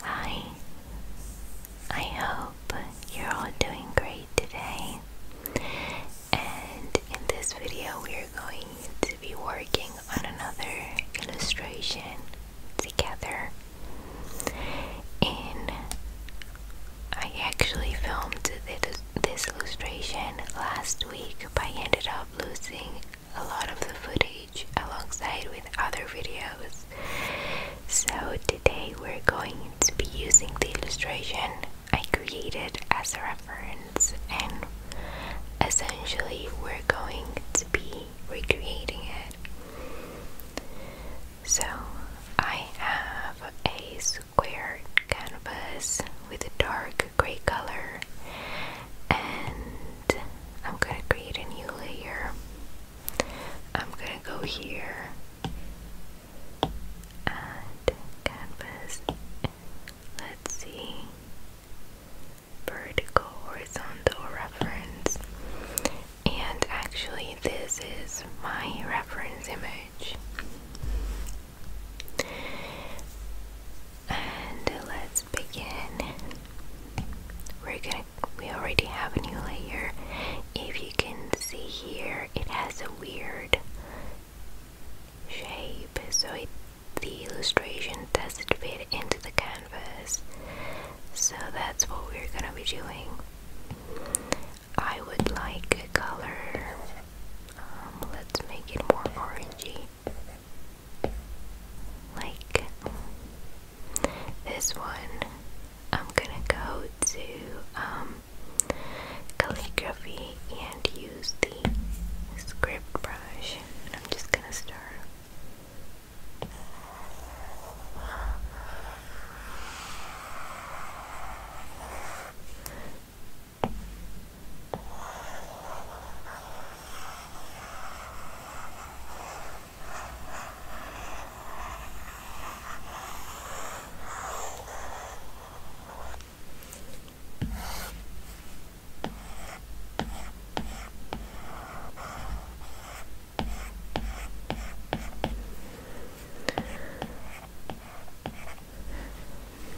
Hi, I hope you're all doing great today. And in this video, we are going to be working on another illustration together. And I actually filmed this illustration last week, but I ended up losing a lot of the footage alongside with other videos. So today we're going to be using the illustration I created as a reference and essentially we're going to be recreating it. So I have a square canvas with a dark gray color and I'm gonna create a new layer I'm gonna go here and canvas. Let's see vertical horizontal reference and actually this is my reference image and let's begin we're gonna we already have a new layer if you can see here it has a weird shape so the illustration doesn't fit into the canvas so that's what we're gonna be doing I would like a color um, let's make it more orangey like this one I'm gonna go to um, calligraphy and use the script brush. And I'm just gonna start.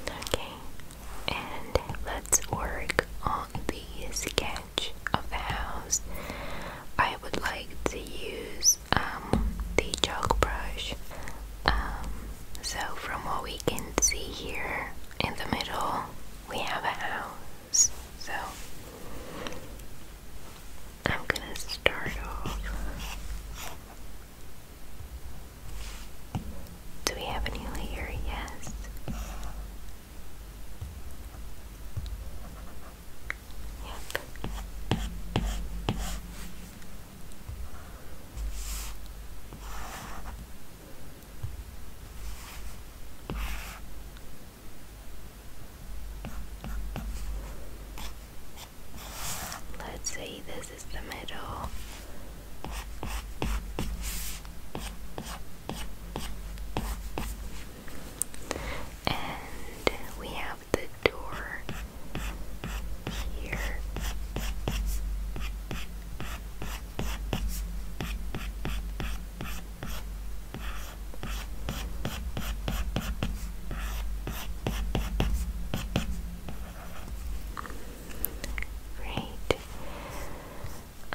Okay, and let's work on the skin of the house. I would like to use um, the chalk brush. Um, so, from what we can see here in the middle, we have a house. So, I'm gonna start off. Do we have a layer? Yes. Let's say this is the middle. And we have the door here. Great.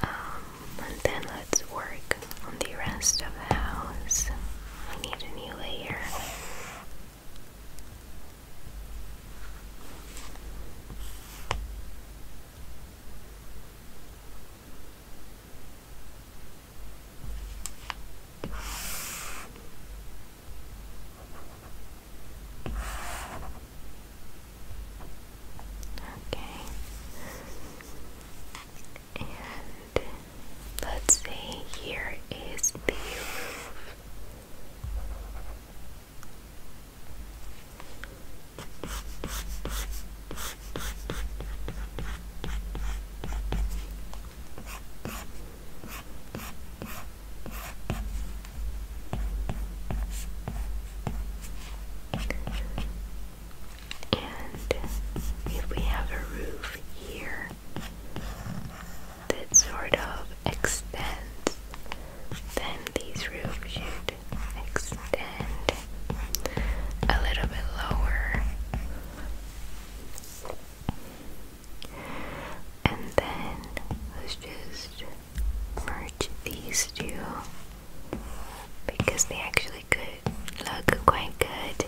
Um, and then let's work on the rest of the house. I need a new layer. Okay and let's say here is the roof. And if we have a roof here that sort of extends, then these roofs should extend a little bit lower. And then let's just merge these two because they actually could look quite good.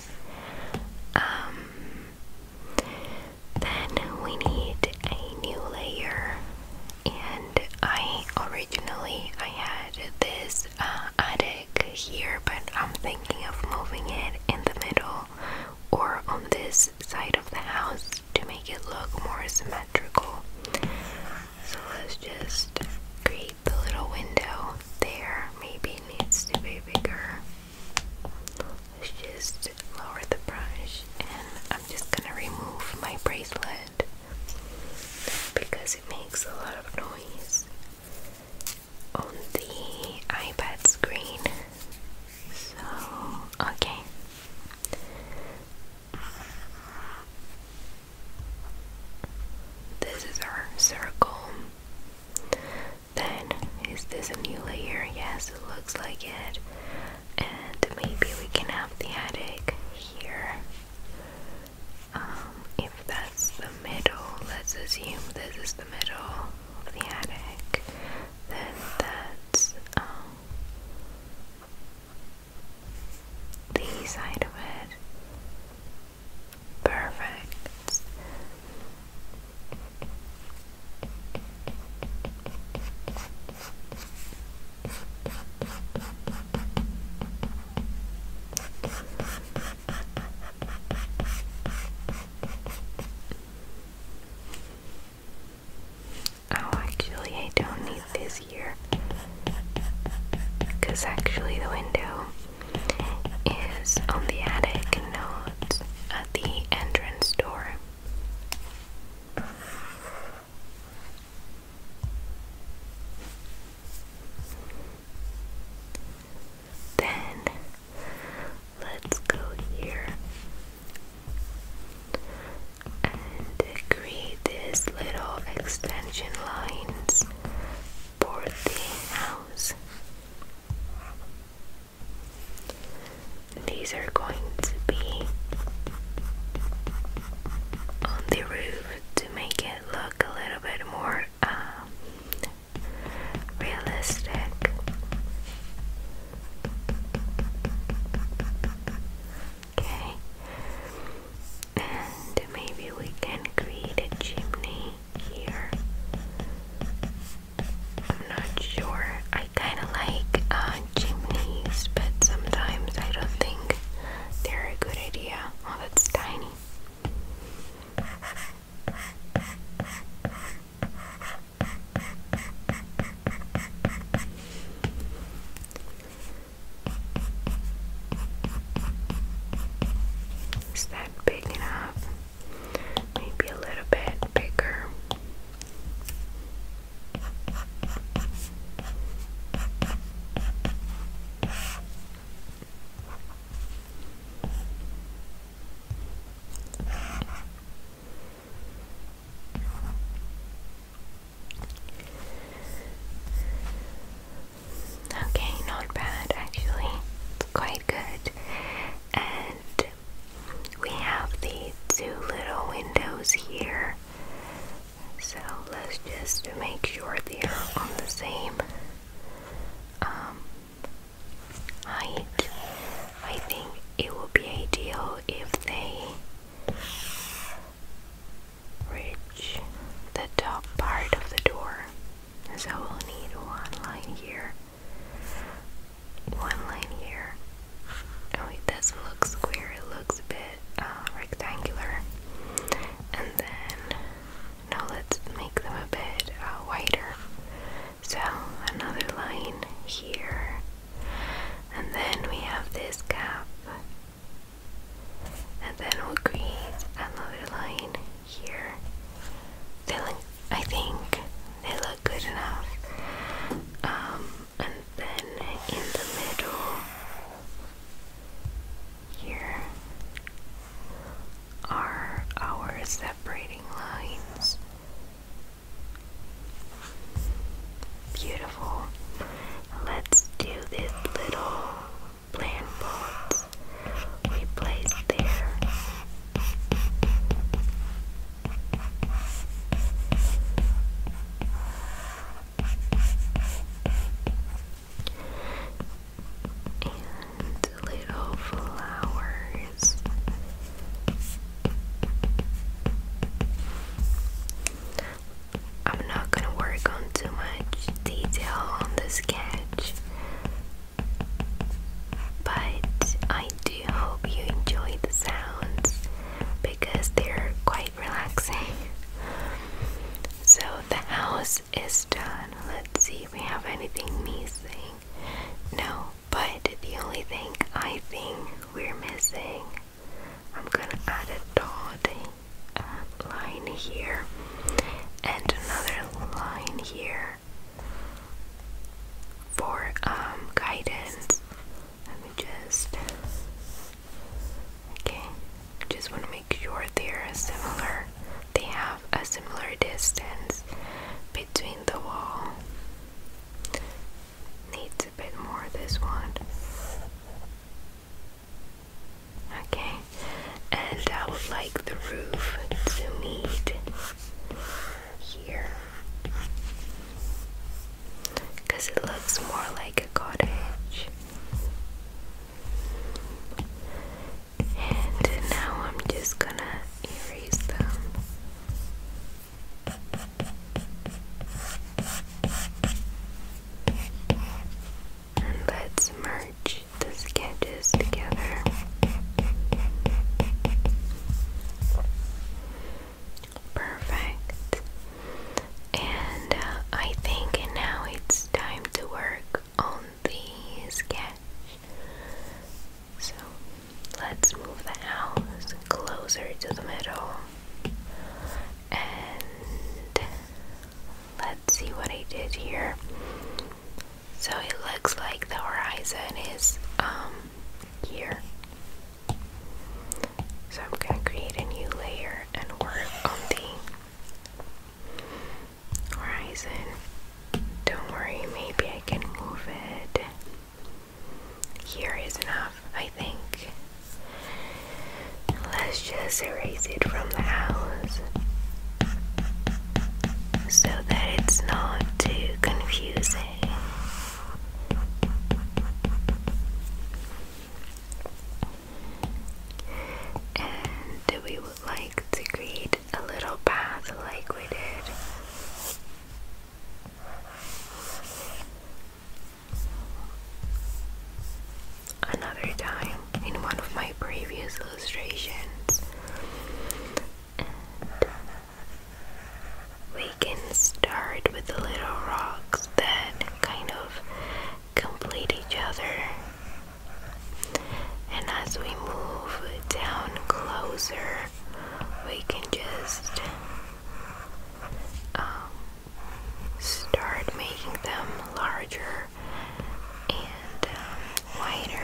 Um, then we need a new layer, and I originally I had this uh, attic here, but I'm thinking of moving it in the middle or on this side of the house to make it look more symmetrical. So let's just create the little window there maybe needs to be bigger. Let's just lower the brush and I'm just gonna remove my bracelet because it makes a lot of noise on the iPad screen. So, okay. This is our circle. Then, is this a new layer? Yes, it looks like it. And maybe we can have the attic here. Um, if that's the middle, let's assume this is the middle of the attic. Then that's um, the side of it. Perfect. Oh, actually, I don't need this here because actually the window is on the attic, not at the entrance door. Then let's go here and create these little extension lines for the house. These are going to be on the roof to make it look a little bit more um, realistic. Okay, and maybe we can create a chimney here. I'm not sure. I kind of like uh, chimneys, but sometimes I don't think they're a good idea. Oh, that's tiny. Is that big enough? maybe a little bit bigger. Okay, not bad actually. It's quite good. And we have the two little windows here. So let's just make sure they are on the same um, height. I think it would be ideal if they reach the top part of the door. So we'll need one line here, one line here. Oh wait, this looks square, it looks a bit uh, rectangular. And then, now let's make them a bit uh, wider. So another line here. And then we have this gap. And then we'll create another line here. They look, I think they look good enough. Um, and then in the middle here are our separating lines. Beautiful. Let's do this little plant pot games we played there. And little flowers. I'm not gonna work on too much detail on the sketch but I do hope you enjoy the sounds because they're quite relaxing. So the house is done. Let's see if we have anything missing. No, but the only thing I think we're missing, I'm gonna add a dot uh, line here and another line here for um, guidance. Let me just. Okay, just want to make sure they're similar. They have a similar distance between the wall. Needs a bit more this one. Okay, and I would like the roof to meet here because it looks more like a cottage. And now I'm just gonna erase them. let's merge the sketches together. Perfect. And uh, I think now it's time to work on the sketch. So let's move the house closer to the middle and let's see what I did here. So it looks like the horizon is um, here. So I'm going to create a new layer and work on the horizon. Don't worry, maybe I can move it. Here is enough, I think. Let's just erase it from the house so that it's not too confusing. And we would like to create a little path like we did. Another time in one of my previous illustrations, we can start with the little rocks that kind of complete each other and as we move down closer we can just um, start making them larger and um, wider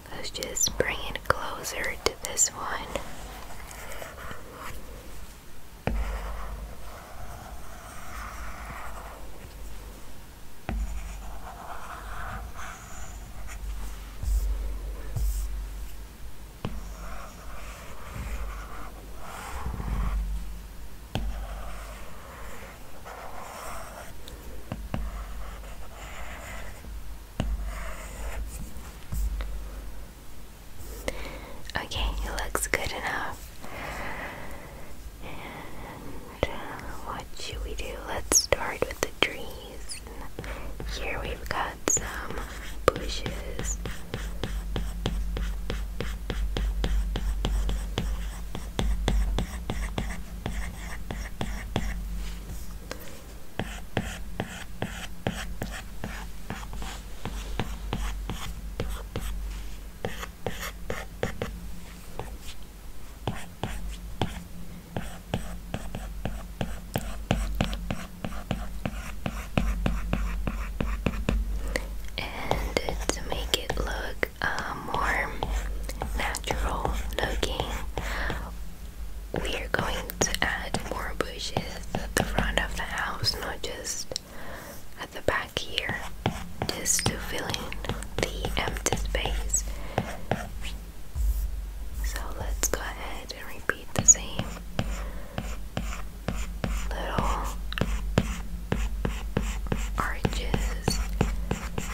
Let's just bring it closer to this one. Okay, it looks good enough. Uh, what should we do? Let's start with the trees. here we've got some bushes. And to make it look uh, more natural looking, we are going to add more bushes at the front of the house, not just at the back here, just to fill in the empty space. So let's go ahead and repeat the same little arches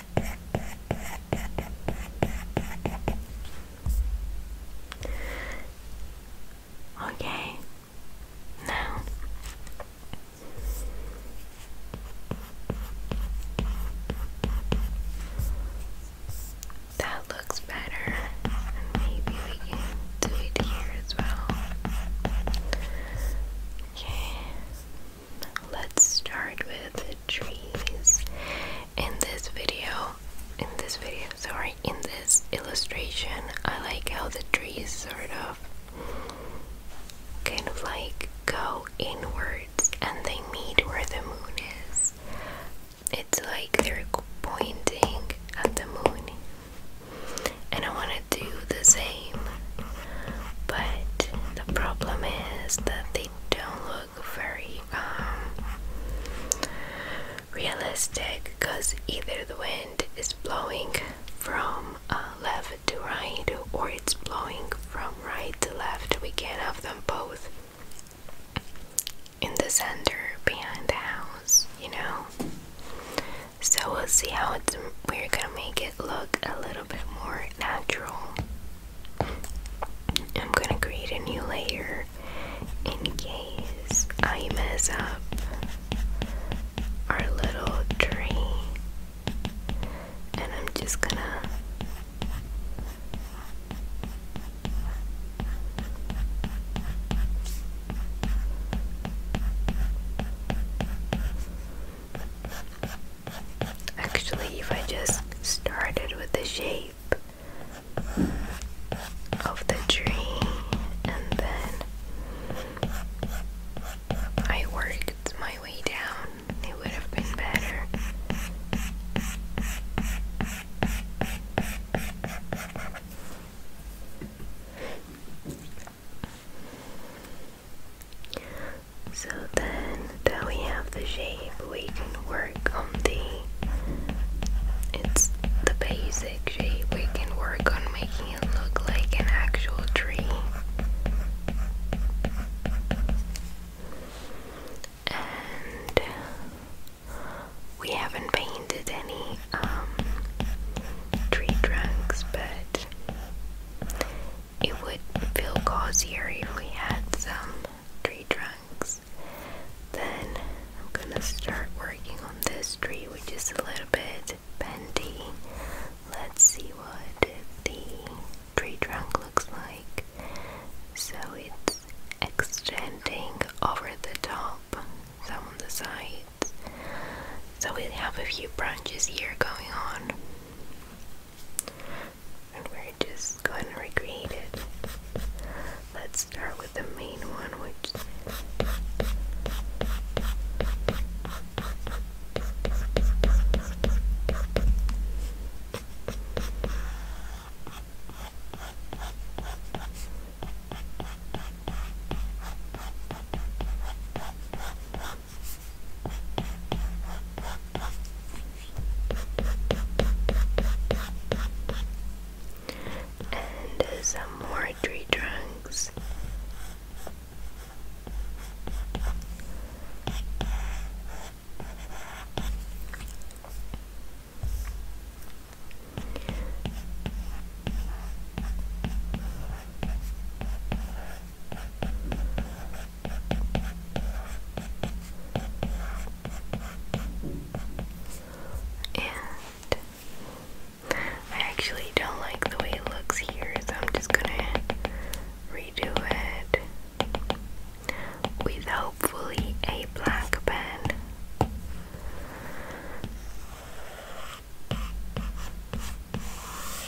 Okay, now that looks better, maybe we can do it here as well. Okay let's start with trees. In this video, in this video, sorry, in this illustration, I like how the trees sort of kind of like go inwards and they meet where the moon is. It's like they're pointing at the moon. And I want to do the same but the problem is that they don't look very um, realistic because either the wind is blowing from uh, left to right or it's blowing from right to left. We can't have them both in the center behind the house, you know. So we'll see how it's, we're gonna make it look a little bit more natural. I'm gonna create a new layer in case I mess up our little tree. And I'm just gonna Actually, if I just started with the shape of the tree and then I worked my way down, it would have been better. So then that we have the shape, we can work on the, it's the basic shape, we can work on making it look like an actual tree. And we haven't painted any um, tree trunks, but it would feel cozier if we had some tree trunks. Then I'm gonna start working on this tree, which is a little bit bendy. Let's see what the tree trunk looks like. So it's extending over the top, some on the sides. So we have a few branches here going on we're just gonna recreate it. Let's start with the main one, which and some more tree trunks. And I actually don't like the way it looks here, so I'm just gonna redo it with hopefully a black pen.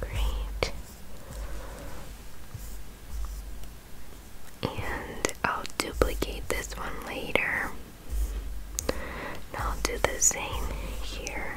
Great. And I'll duplicate this one later. I'll do the same here.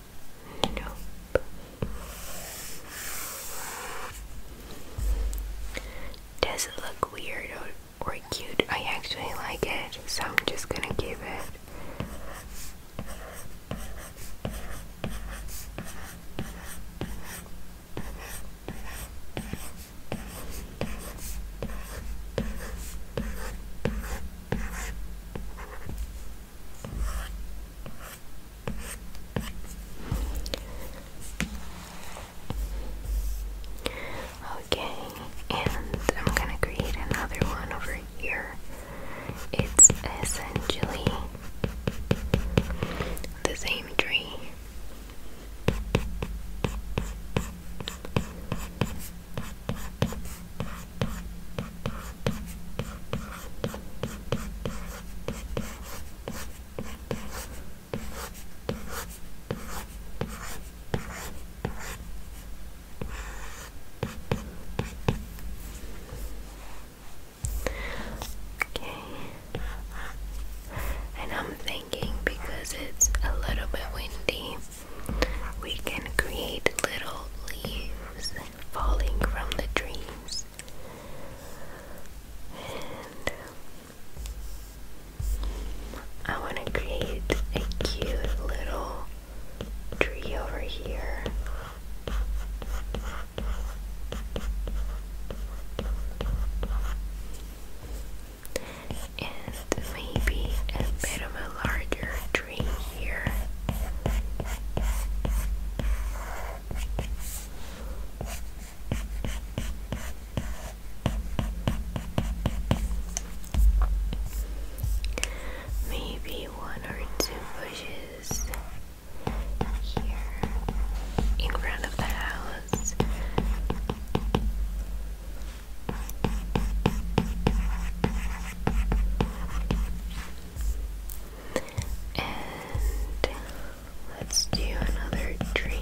Doesn't look weird or, or cute. I actually like it, so I'm just gonna give it. Okay, and I'm gonna create another one over here. It's essentially the same tree. Okay. And I'm thinking because it's a little bit windy, we can create little leaves falling from the trees. I want to create a cute little tree over here. And maybe a bit of a larger tree here. Maybe one or two bushes here in front of the house. And let's do another tree.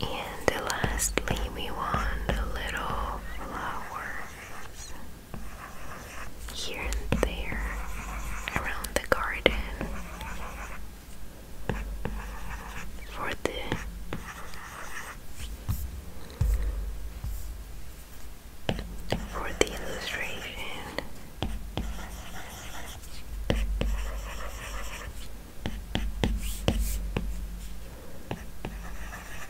And lastly, we want a little flowers here and there around the garden for the for the illustration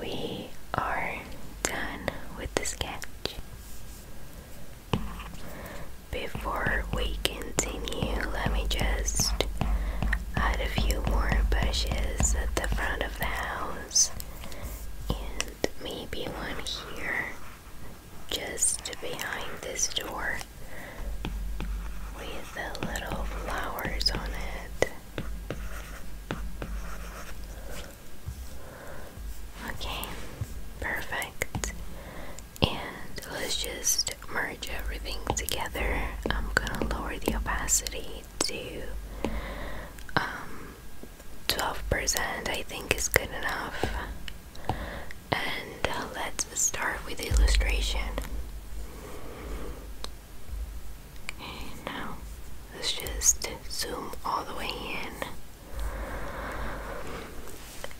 we are done with the sketch. Before we continue, let me just add a few more bushes at the front of the house and maybe one here just behind this door with the little flowers on it. Okay, perfect. And let's just merge everything together. I'm gonna lower the opacity to 12%, um, I think is good enough. And uh, let's start with the illustration. Okay, now let's just zoom all the way in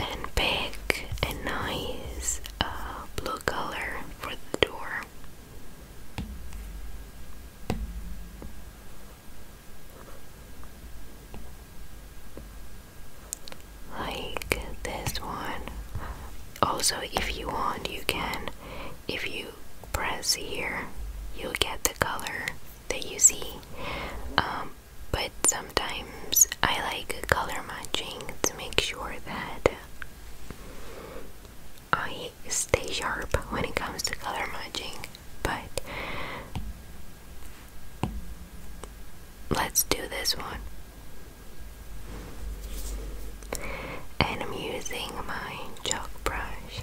and pick a nice uh, blue color for the door. Like this one. Also, if you want, you can if you press here, you'll get the color that you see. Um, but sometimes I like color matching to make sure that I stay sharp when it comes to color matching. But let's do this one. And I'm using my chalk brush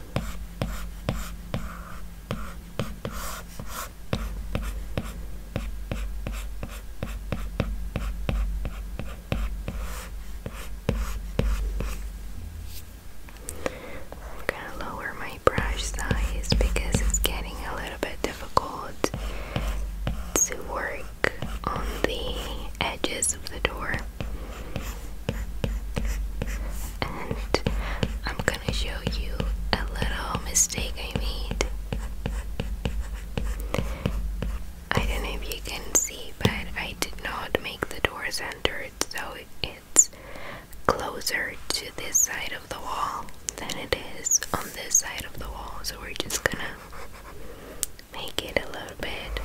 I'm gonna lower my brush size because it's getting a little bit difficult to work on the edges of the door. And I'm gonna show you a little mistake I made. I don't know if you can see, but I did not make the door centered, so it's closer to this side of the wall than it is on this side of the wall. So we're just gonna make it a little bit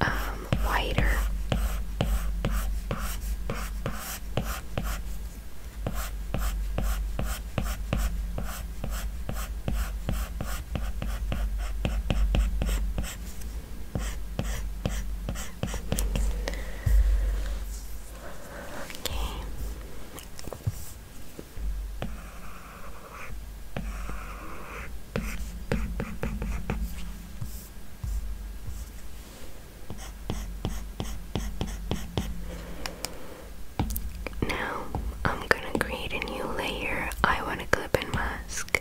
um, whiter. Okay. Now, I'm gonna create a new layer. I want to clip and mask.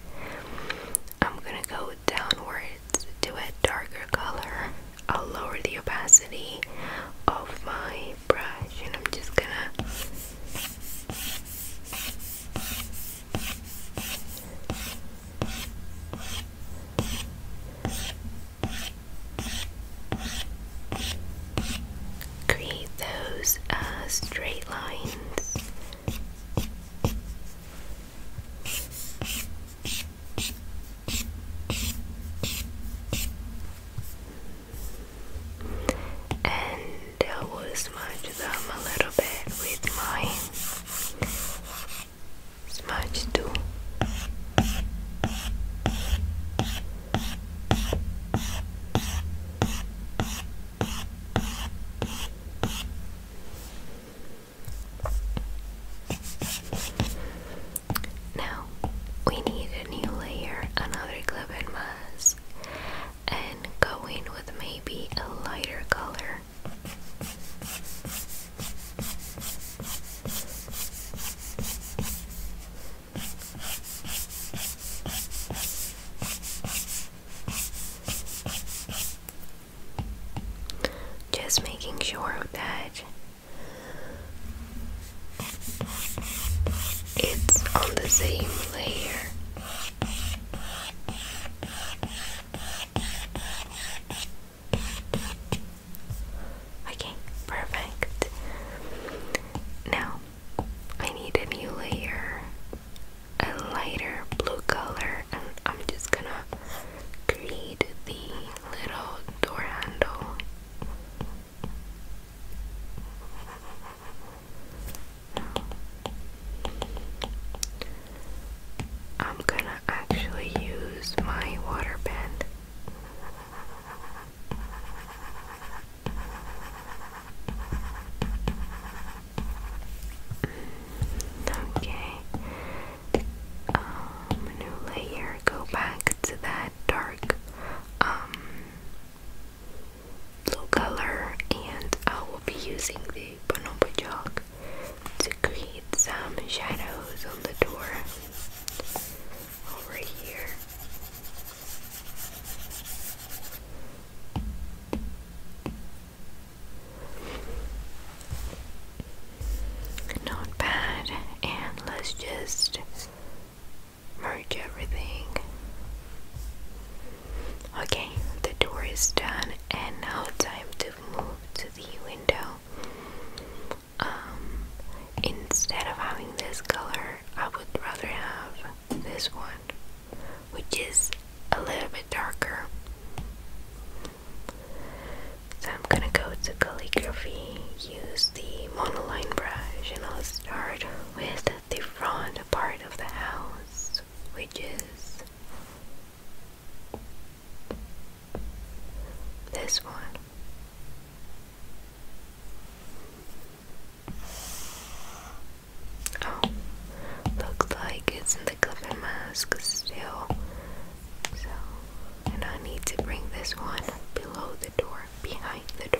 I'm gonna go downwards to a darker color. I'll lower the opacity of my brush and I'm just gonna create those uh, straight lines and I will smudge them a little bit with my smudge tool. Now we need a new layer, another clip and mask and go in with maybe a lighter color. Just making sure that it's on the same layer. Okay, perfect. Now I need a new layer, a lighter blue color, I'm just gonna create the little door handle I'm gonna actually use my water pen. Okay, um, new layer. Go back to that dark, um, blue color and I will be using the bonobo chalk to create some shadows on the door over here Not bad, and let's just merge everything. Okay, the door is done, and now time to move to the window. Um, instead of having this color, I would rather have this one, which is a little bit darker. So I'm gonna go to calligraphy, use the monoline brush, and I'll start with the front part of the house which is this one. Oh, looks like it's the cover mask still. So, and I need to bring this one below the door, behind the door.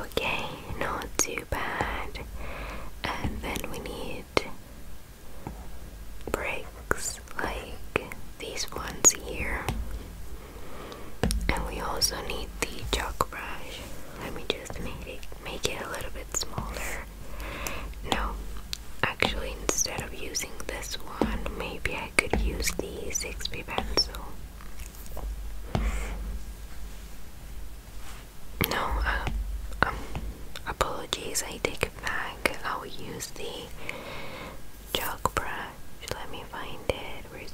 Okay, not too bad. And then we need bricks like these ones here. And we also need the chalk brush. Let me just make it make it a little bit smaller. No, actually instead of using this one, maybe I could use the 6 B pencil. No, uh, um, apologies, I take back. I'll use the chalk brush. Let me find it. Where's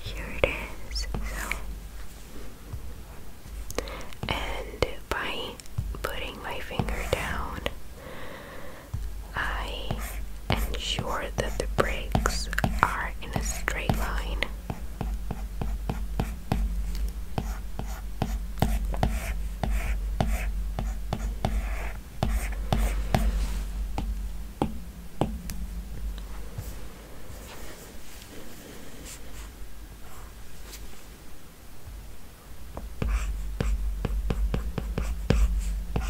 here it is. So, and by putting my finger down, I ensure that the brakes are in a straight line.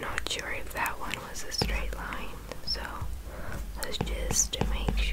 Not sure if that one was a straight line, so let's just make sure.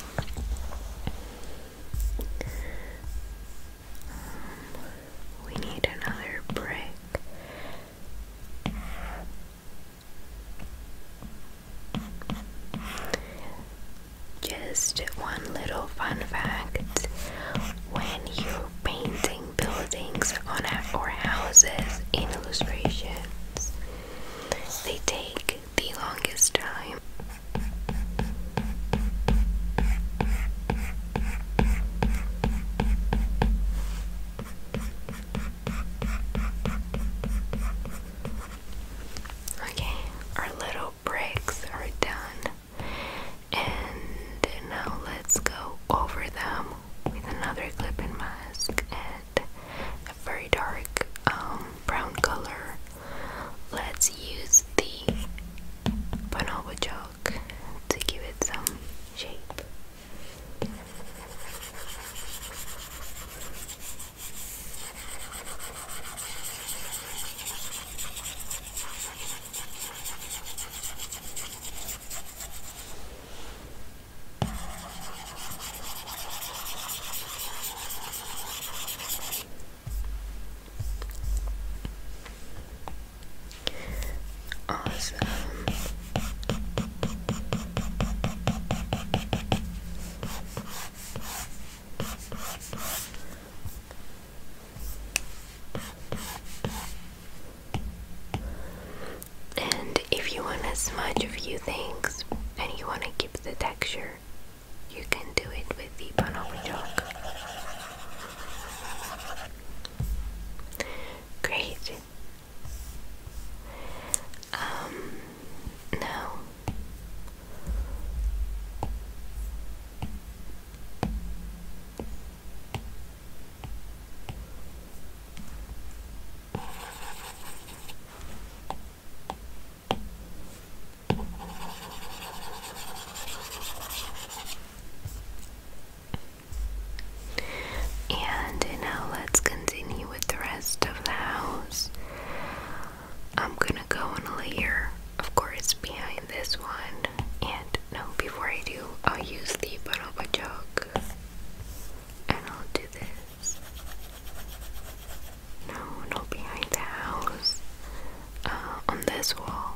Um, we need another brick. Just one little fun fact when you're painting buildings on or houses in illustrations, they take the longest time. Okay, our little bricks are done, and now let's go over them with another clipping mask a very dark um, brown color. Let's use the bonobo chalk to give it some shape. Awesome. And if you want to smudge a few things and you want to keep the texture you can do it with the Bonobo chalk. Great. Um, now and now let's continue with the rest of the house. I'm gonna go on a layer, of course, behind this one. And no, before I do, I'll use the bonobo chalk and I'll do this. No, not behind the house. Uh, on this wall.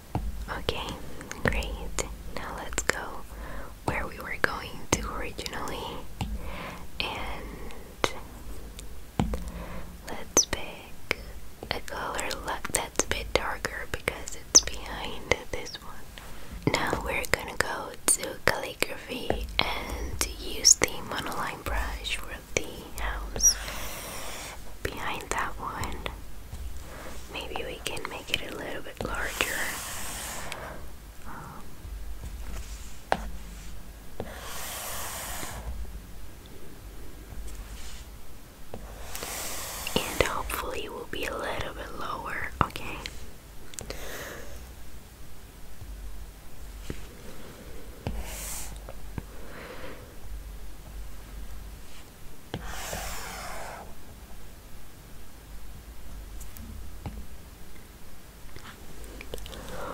Okay, great. Now let's go where we were going to originally. And let's pick a color that's a bit darker because it's behind this one. Now we're gonna go to calligraphy and use the monoline brush for the house behind that one. Maybe we can make it a little bit larger. Um, and hopefully it will be a little bit lower, okay?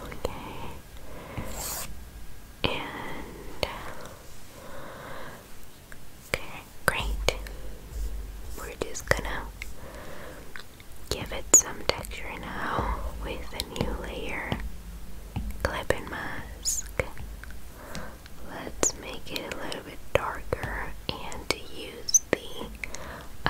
Okay. And okay, great. We're just gonna give it some texture now with a new layer clip and mask let's make it a little bit darker and use the uh,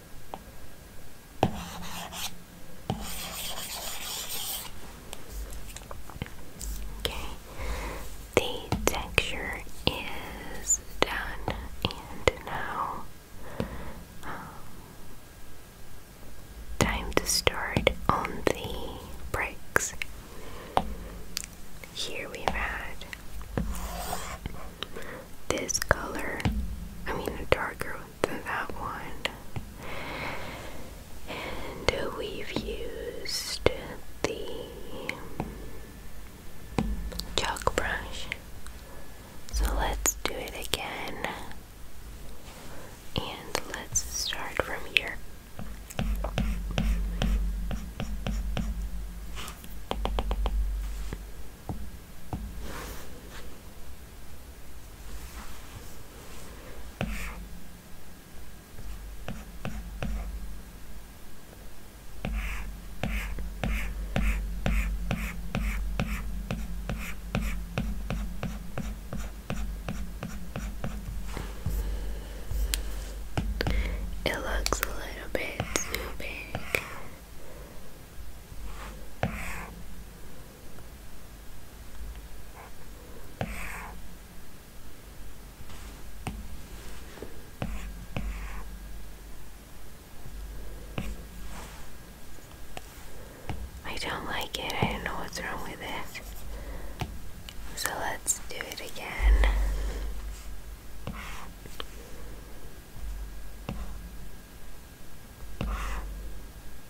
Okay, the texture is done, and now um, time to start on the bricks. Here we've had this color, I mean a darker that one. And we've used the chalk brush. So let's do it again. And let's start from here. It looks a little bit too big. I don't like it. I don't know what's wrong with it. So let's do it again.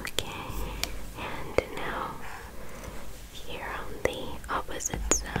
Okay, and now here on the opposite side.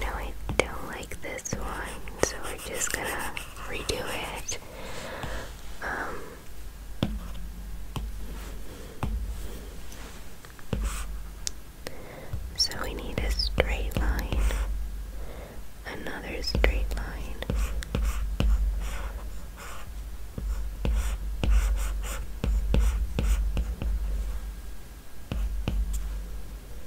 No, I don't like this one so we're just gonna redo it. Um, so we need a straight line, another straight line.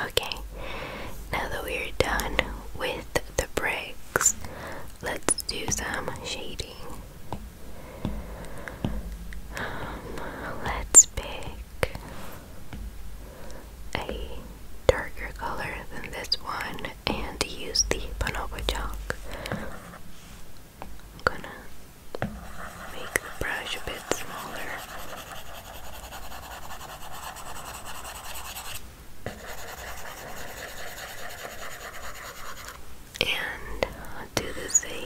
Okay, now that we're done with the bricks, let's do some shading. Um, let's pick a darker color than this one and use the bonobo chalk. i gonna make the brush a bit smaller and do the same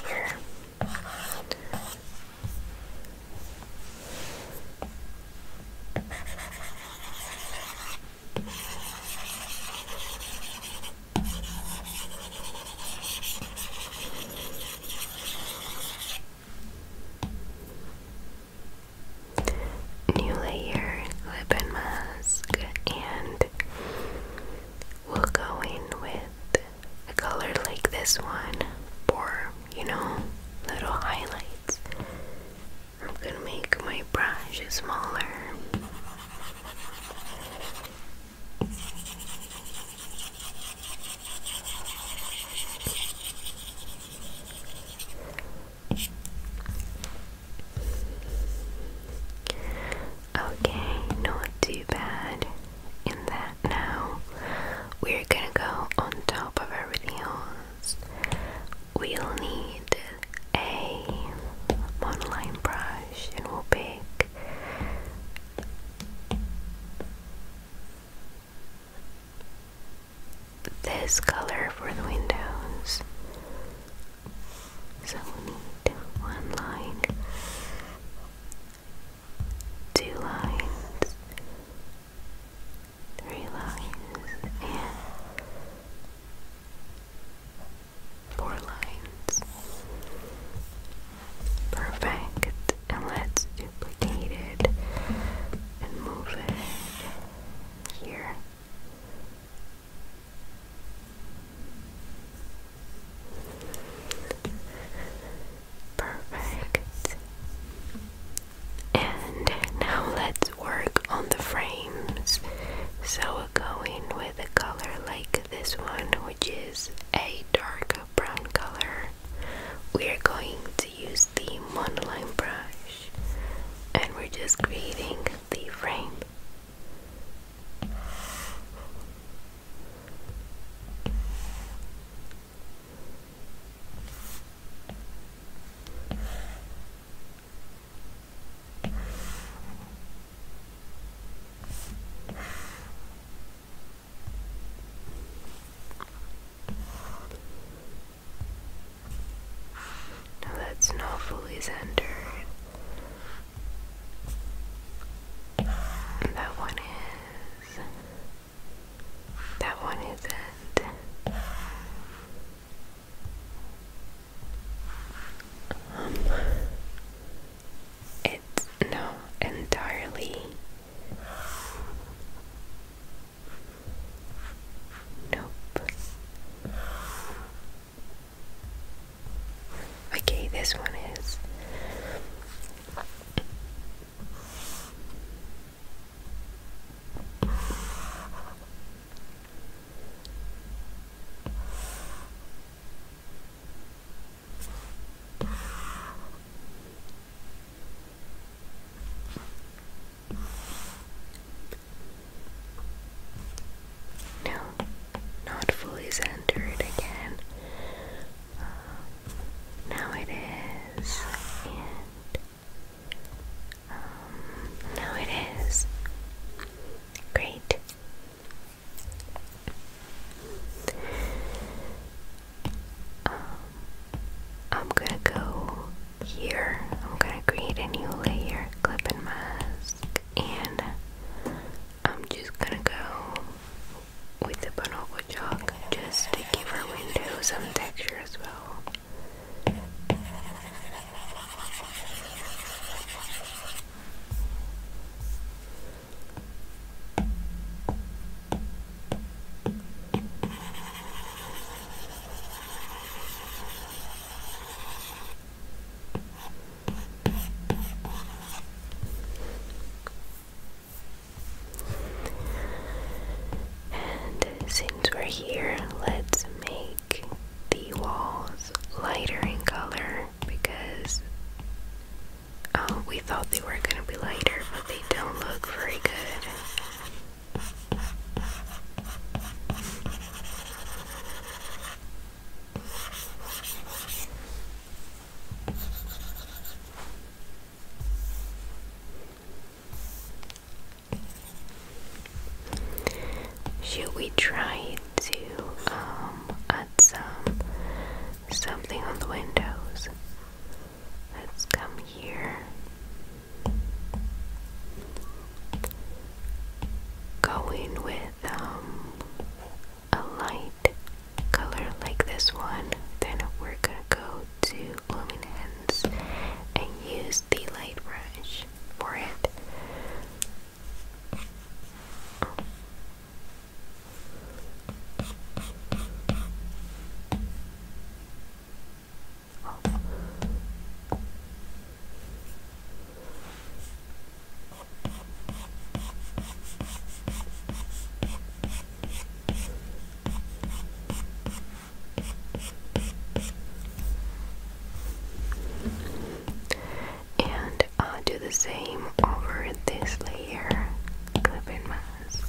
here new layer lip and mask and we'll go in with a color like this one for you know little highlights I'm gonna make my brush smaller Okay, not too bad in that now. We're gonna go on top of everything else. We'll need a monoline brush and we'll pick this color for the windows. So we need one line, two lines, three lines, and four lines. Perfect. And let's duplicate it and move it here. Perfect. And now let's work on the frames. So we're going with a color like this one, which is a dark brown color. We are going to use the monoline brush and we're just creating the frame. Now that's not fully centered. that one is. That one isn't. Um, it's no entirely Nope. Okay, this one is. No, not fully centered again. Um, now it is, um, now it is. Great. Um, I'm gonna go here I'm gonna create a new layer, clip and mask, and I'm just gonna go with the bonobo chalk just to give our window some texture as well. And since we're here, let's make the walls lighter in color because oh, we thought they were going to be lighter, but they don't look very good. Should we try to um, add some something on the windows? Let's come here. Going with um, a light color like this one, then we're gonna go to Luminance and use the light brush for it. And uh, do the same over this layer, clip mask.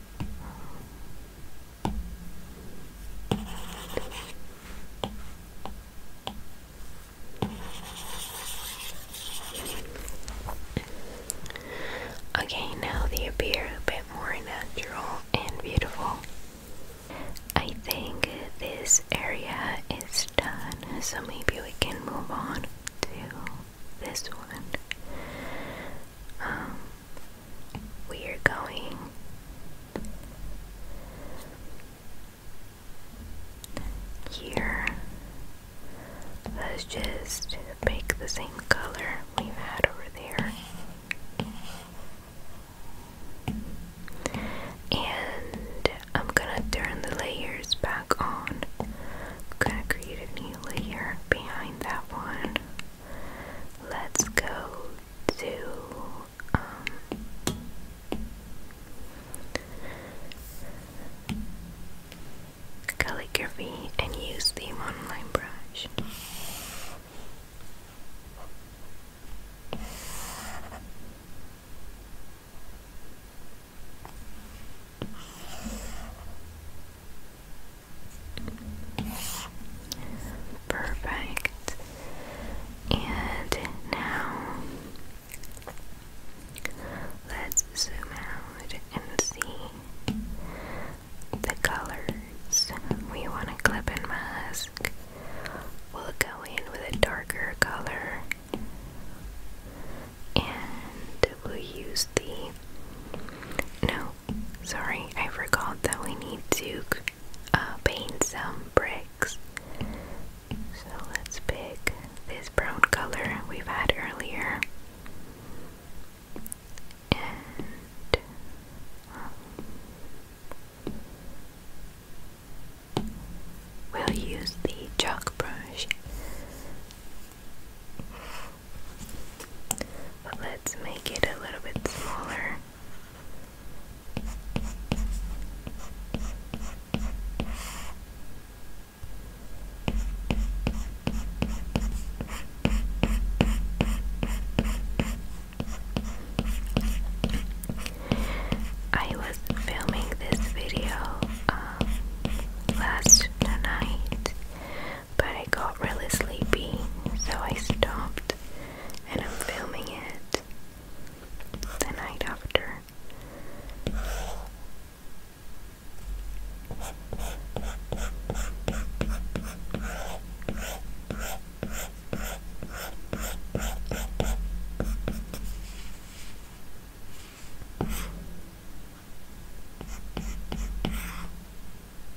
Okay, now they appear a bit more natural and beautiful. I think this area is done, so maybe we can move on to this one. Um, we are going here. Let's just make the same color we've had over there. And I'm gonna turn the layers back on. I'm gonna create a new layer behind that one. Let's go to um, calligraphy and use the monoline brush. Perfect. And now let's zoom out and see the colors we want to clip mask. We'll go in with a darker color and we'll use the no, sorry, I forgot that we need to uh, paint some bricks. So let's pick this brown color we've had earlier. And um, we'll use the chalk brush let's make it a little bit smaller. I was filming this video um, last night but I got really sleepy, so I stopped and I'm filming it the night after.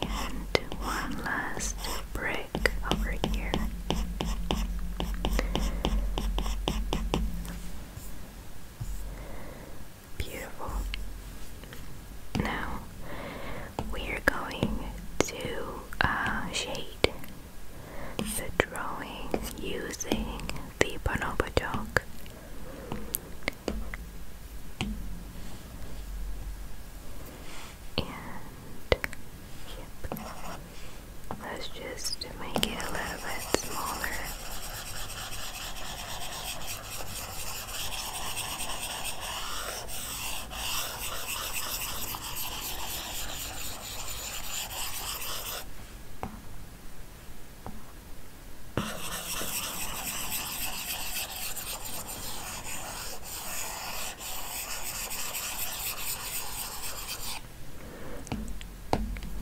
And one last brick over here. Beautiful. Now we're going to uh, shade the drawing using the bonobo And Let's just to make it a little bit smaller.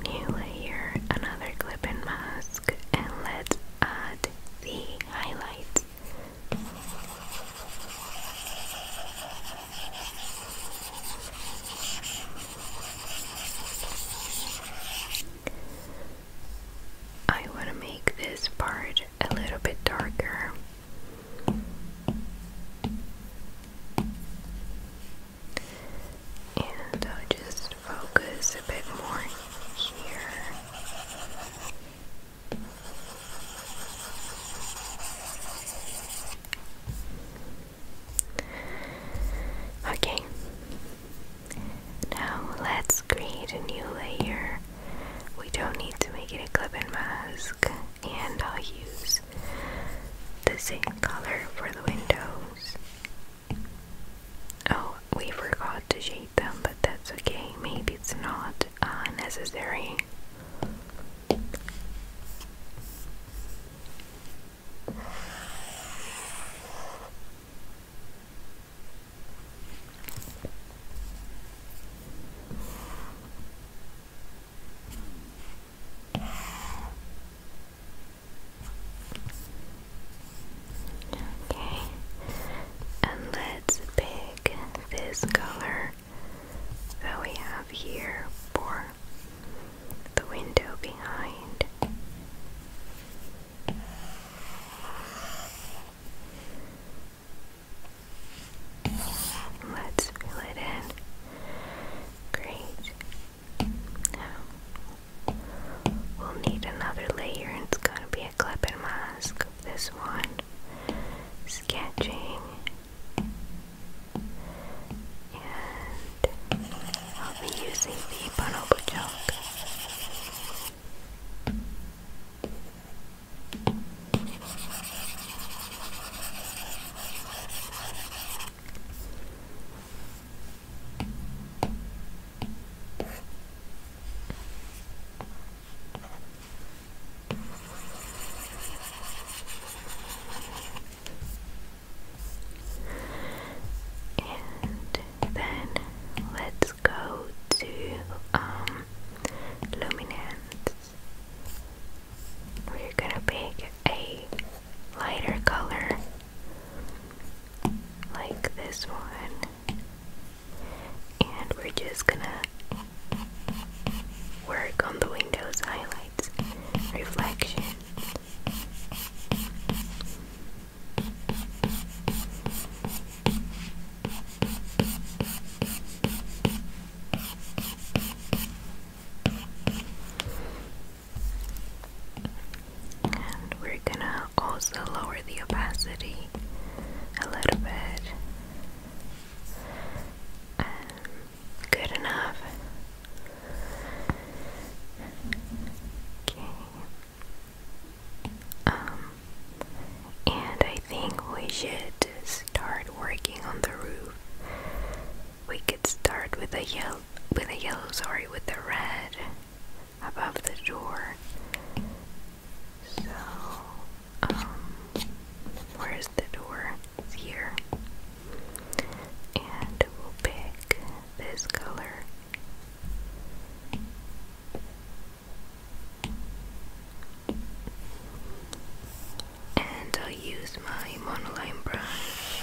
New layer, another clip mask, and let's add the highlights. I want to make this part a little bit darker. And I'll just focus a bit more here. Okay, now let's create a new layer. We don't need to make it a clip and mask, and I'll use the same color for the windows Oh, we forgot to shade them, but that's okay. Maybe it's not uh, necessary. Okay, and let's pick this color that we have here for the window behind. Let's fill it in. Great. Now, we'll need another layer, and it's going to be a clip and mask of this one. Sketching. And I'll be using the bonobo chalk. And then let's go to um, We're gonna pick a lighter color like this one. And we're just gonna work on the windows highlights, reflection we're gonna also lower the opacity a little bit good enough okay um and I think we should start working on the roof we could start with a yellow with a yellow sorry with a red above the door. So, um, where is the door? here. And we'll pick this color. And I'll use my monoline brush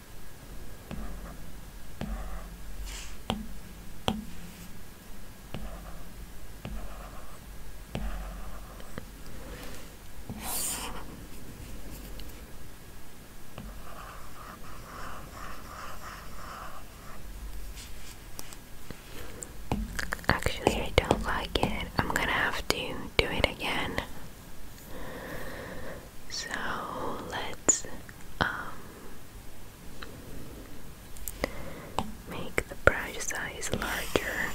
Actually, I don't like it. I'm gonna have to do it again. So let's um, make the brush size larger.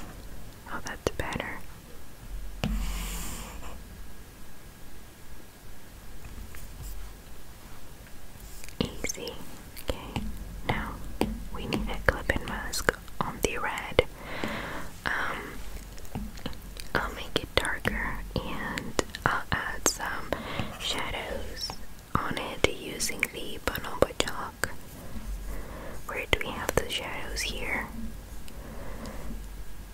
Oh, that's better. Easy. Okay, now we need a clip mask on the red. Um, I'll make it darker and I'll add some shadows on it using the bonobo chalk. Where do we have the shadows here?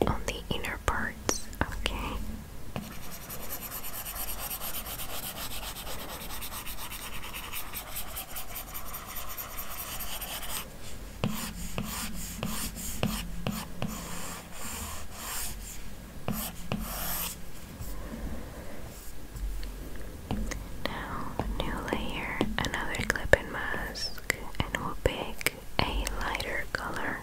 On the inner parts, okay. Now, new layer, another clip mask, and we'll pick a lighter color.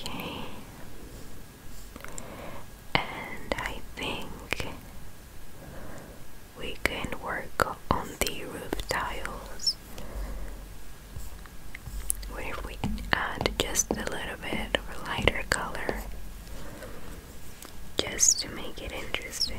Okay. And I think we can work on the roof tiles. What if we add just a little bit of a lighter color just to make it interesting?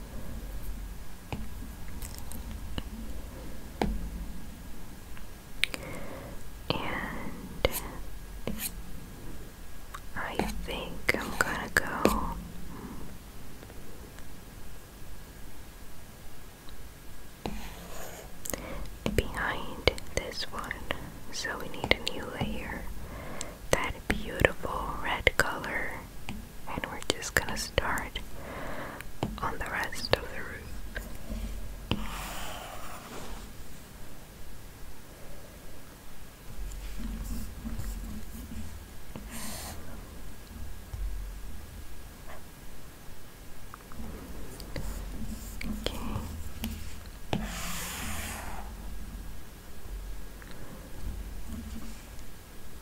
And I think I'm gonna go. Behind this one, so we need a new layer that beautiful red color and we're just gonna start on the rest of the roof. Okay.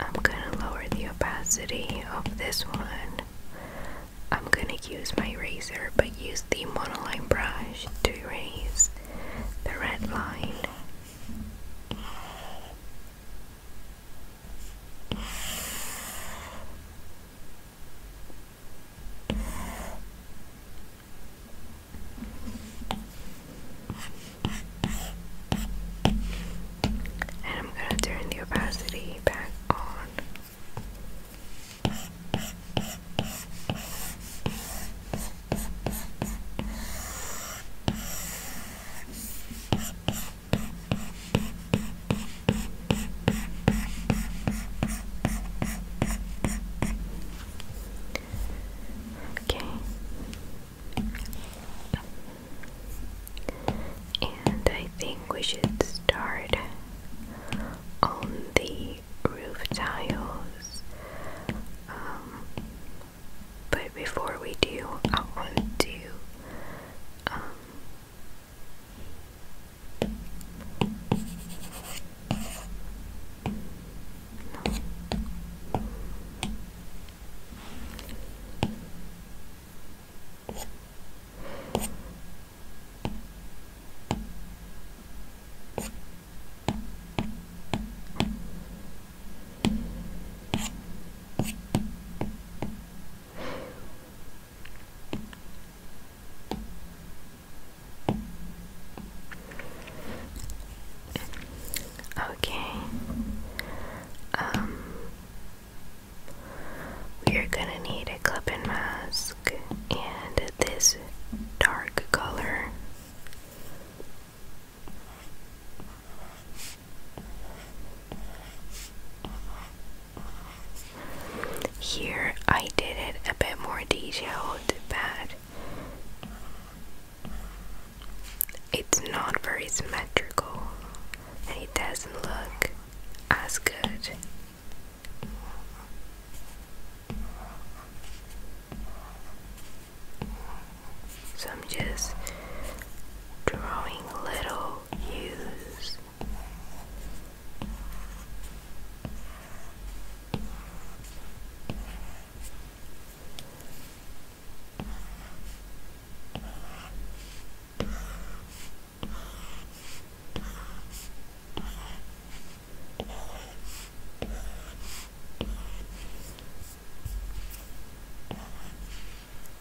I'm going to lower the opacity of this one. I'm going to use my razor but use the monoline brush to raise the red line. And I'm going to turn the opacity back on. Okay. And I think we should start on the roof tiles. Um, but before we do, I want to um, Okay. Um we are gonna need a clip and mask and this dark color. Here I did it a bit more detailed, but it's not very symmetrical and it doesn't look as good so I'm just drawing little U's.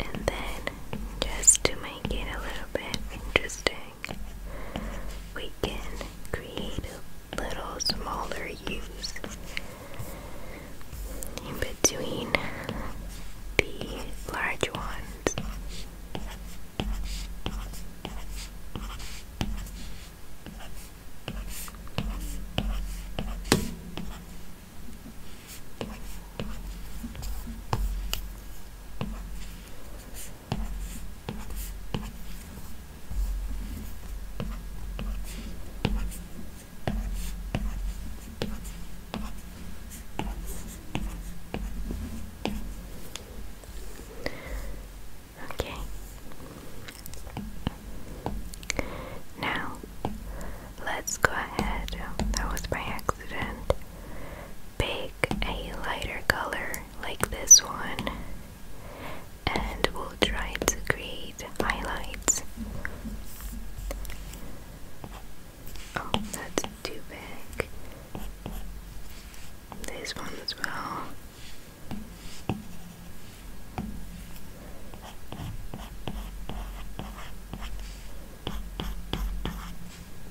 And then, just to make it a little bit interesting, we can create little smaller hues in between the large ones. Okay. Now, let's go ahead. That was by accident. Pick a lighter color like this one and we'll try to create highlights. Oh, that's too big. This one as well.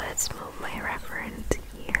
Let's move my reverend here. Okay.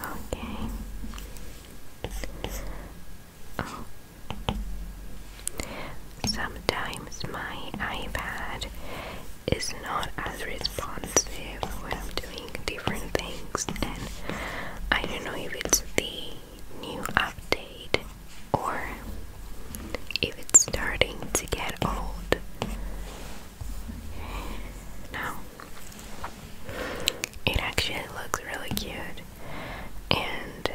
Okay. Oh. Sometimes my iPad is not as responsive when I'm doing different things, and I don't know if it's the new update or if it's starting to get old. Now, it actually looks really cute. And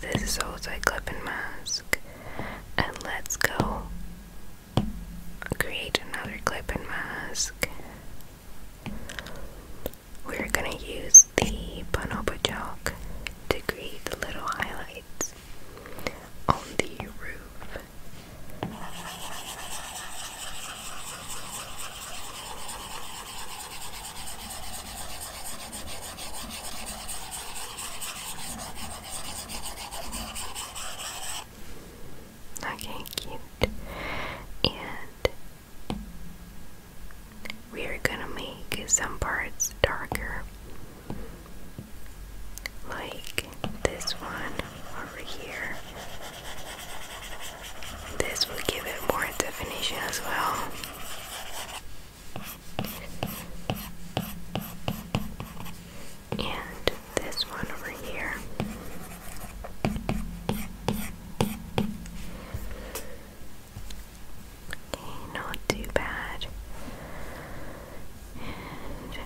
this is also a clip and mask. And let's go create another clip and mask. We're gonna use use the bonobo chalk to create little highlights on the roof. Okay, cute. And we are gonna make some parts darker like this one over here. This will give it more definition as well. And this one over here. Okay, not too bad. And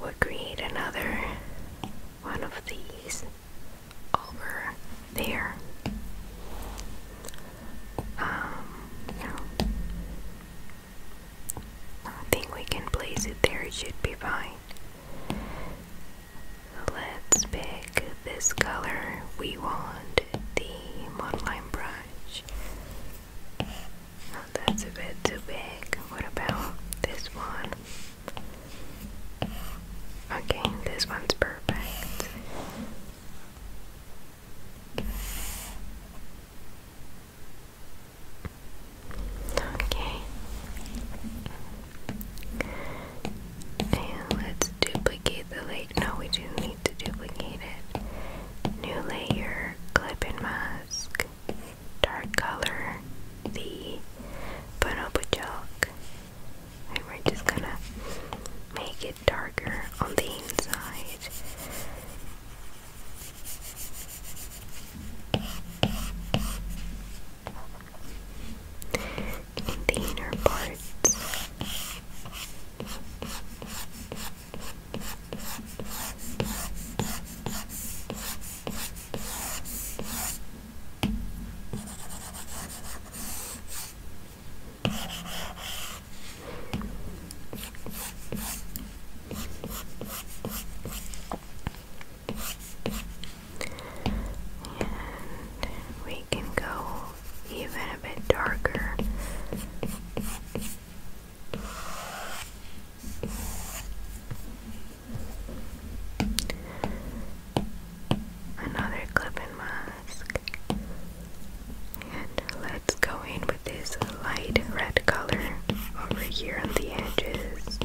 we'll create another one of these over there. Um, I think we can place it there, it should be fine. Let's pick this color. We want the monoline brush Oh, that's a bit too big. What about this one? Okay, this one's perfect. Okay. And let's duplicate the no, we do need to duplicate it. New layer, clip and mask, dark color, the bonobo chalk. And we're just gonna make it darker on the inside. In parts we can go even a bit darker Another clip mask. And let's go in with this light red color over here on the edges.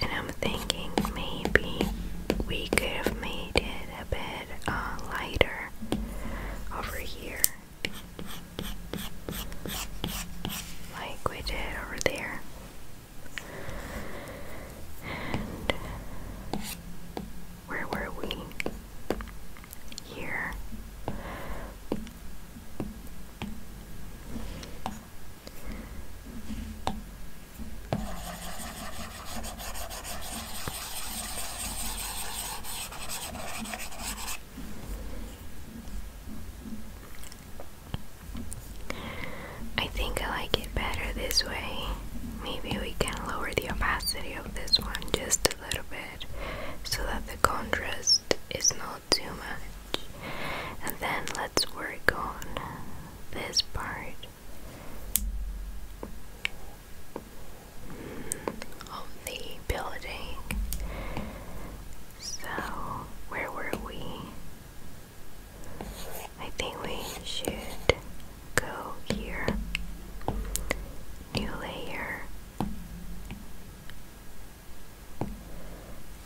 And I'm thinking maybe we could have made it a bit uh, lighter over here, like we did over there. Where were we? Here. I think I like it better this way maybe we can lower the opacity of this one just a little bit so that the contrast is not too much. And then let's work on this part mm, of the building. So, where were we? I think we should go here, new layer,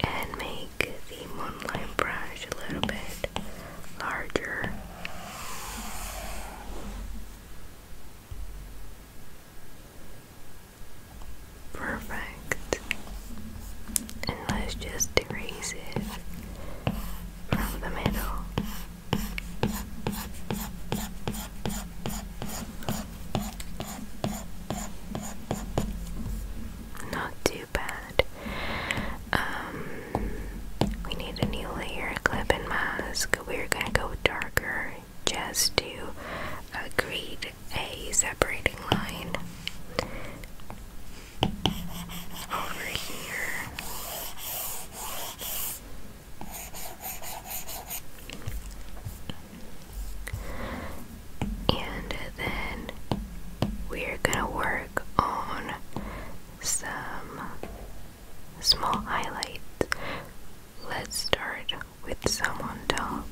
and make the moonlight brush a little bit larger. Perfect. And let's just erase it from the middle. Not too bad. Um, we need a new layer clip and mask. We're gonna go darker just to create a separating line over here. And then we're gonna work on some small highlights. Let's start with some on top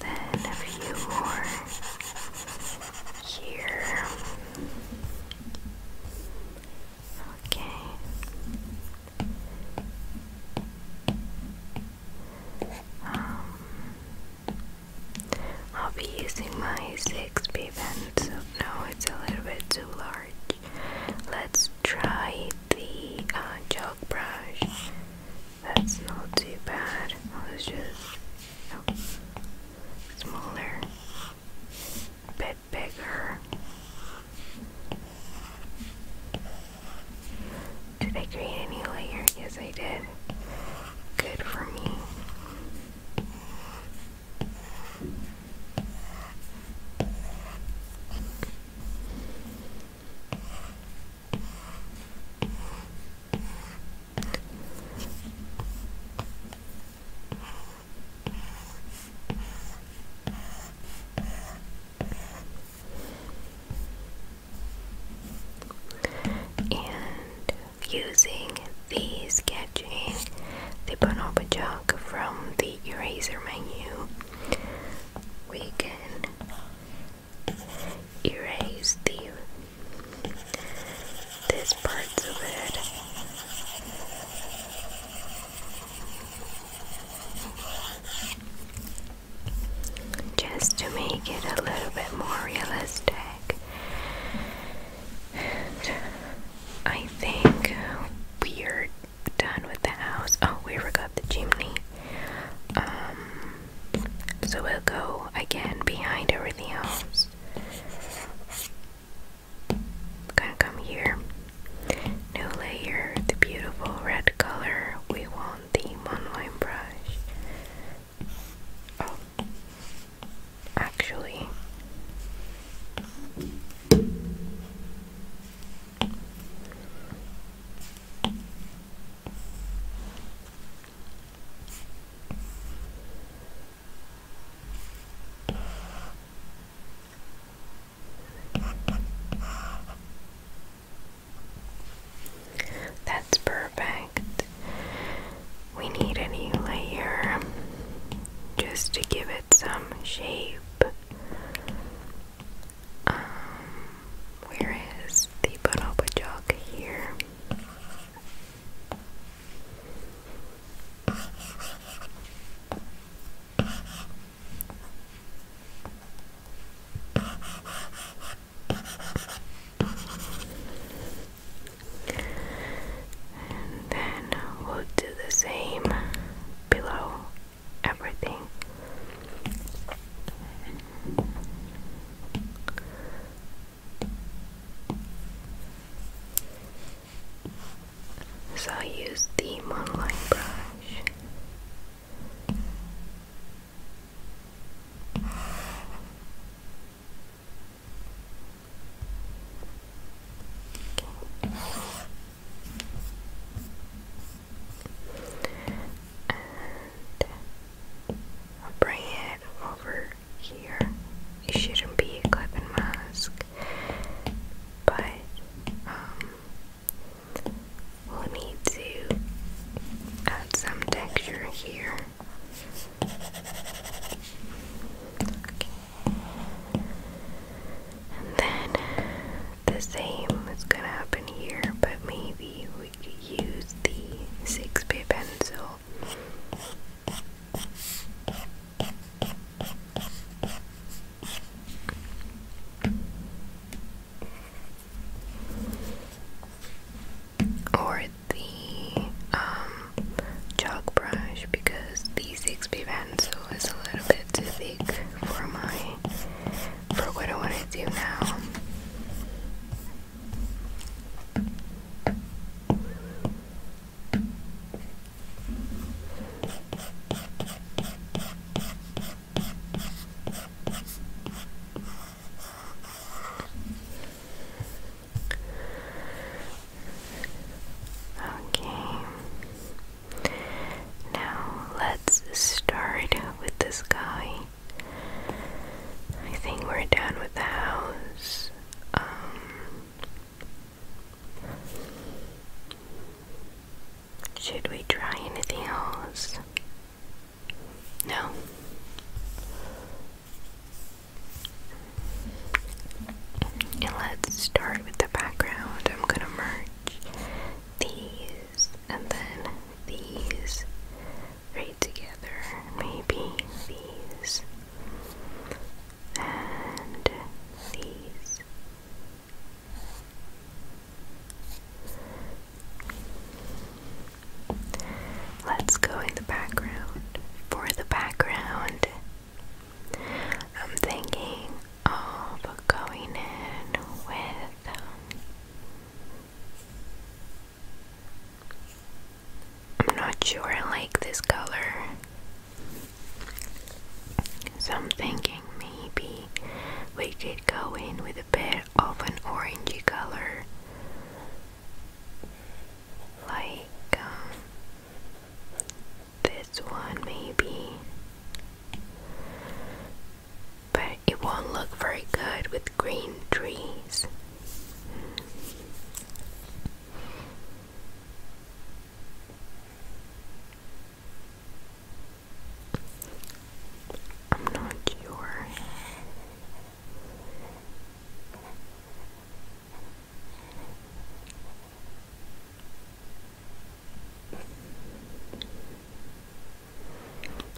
then a few more here. Okay. Um, I'll be using my 6 B pen, so no, it's a little bit too large. Let's try the uh, chalk brush. That's not too bad. I was just smaller, a bit bigger. Did I create any layer? Yes, I did. Good for me. And using the sketching, the a jug from the eraser menu, we can erase these parts of it. Just to make it a little bit more realistic. I think we're done with the house. Oh, we forgot the chimney. Um, so we'll go again behind everything else. gonna come here. New layer, the beautiful red color. We want the monoline brush. Oh, actually. That's perfect. We need a new layer just to give it some shape. Um, where is the bonobo jog here? And then we'll do the same below everything. So I use the monoline brush i bring it over here. It shouldn't be a clipping mask, but we'll um, need to add some texture here. And then the same is gonna happen here, but maybe we could use the 6 bit pencil or the um, chalk brush because the 6B pencil is a little bit too thick for my for what I want to do now. Okay. Now let's start with the sky. I think we're done with the house. Um, should we try anything else? No. And let's start with the background. I'm gonna merge these and then these right together. Maybe these and these. Let's go in the background. For the background, I'm thinking of going in with um, I'm not sure I like this color. So I'm thinking maybe we could go in with a bit of an orangey color. Like um, this one maybe. But it won't look very good with green trees. I'm not sure.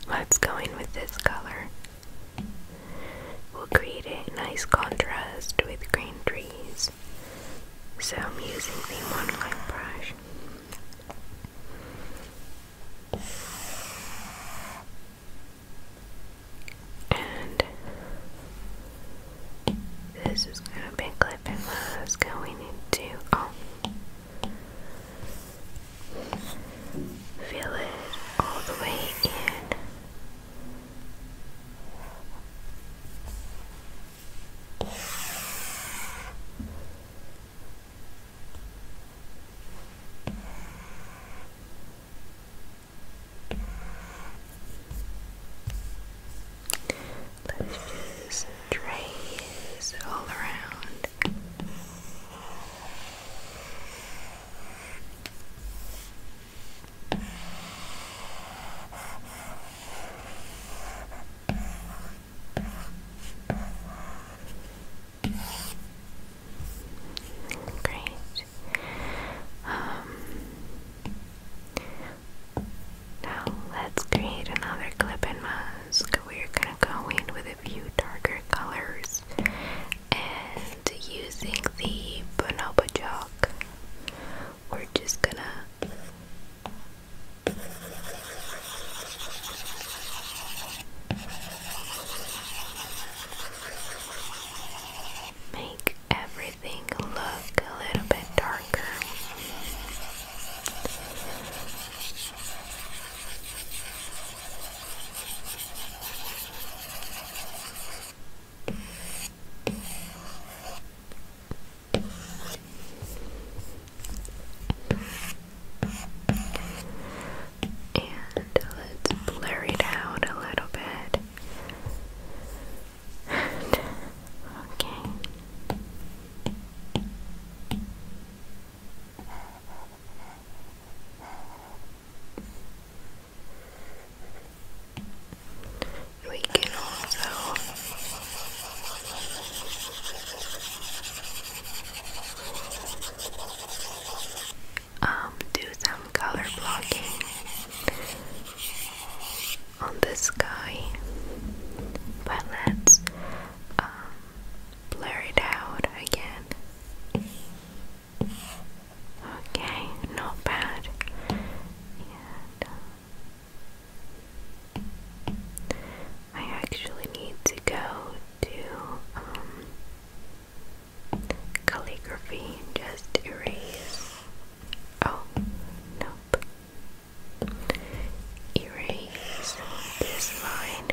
Let's go in with this color will create a nice contrast with green trees. So I'm using the monoline brush. And this is gonna be clipping that's going into oh feel it all the way in Let's just trace all around. Great. Um, now let's create another clip in mask. We're gonna go in with a few darker colors and using the bonobo chalk, we're just gonna make everything look a little bit darker. And let's blur it out a little bit. okay. We can also um, do some color blocking on the sky, but let's um, blur it out again. Okay, not bad. Um, I actually need to go to um, calligraphy and just erase. Oh, nope. Erase this line.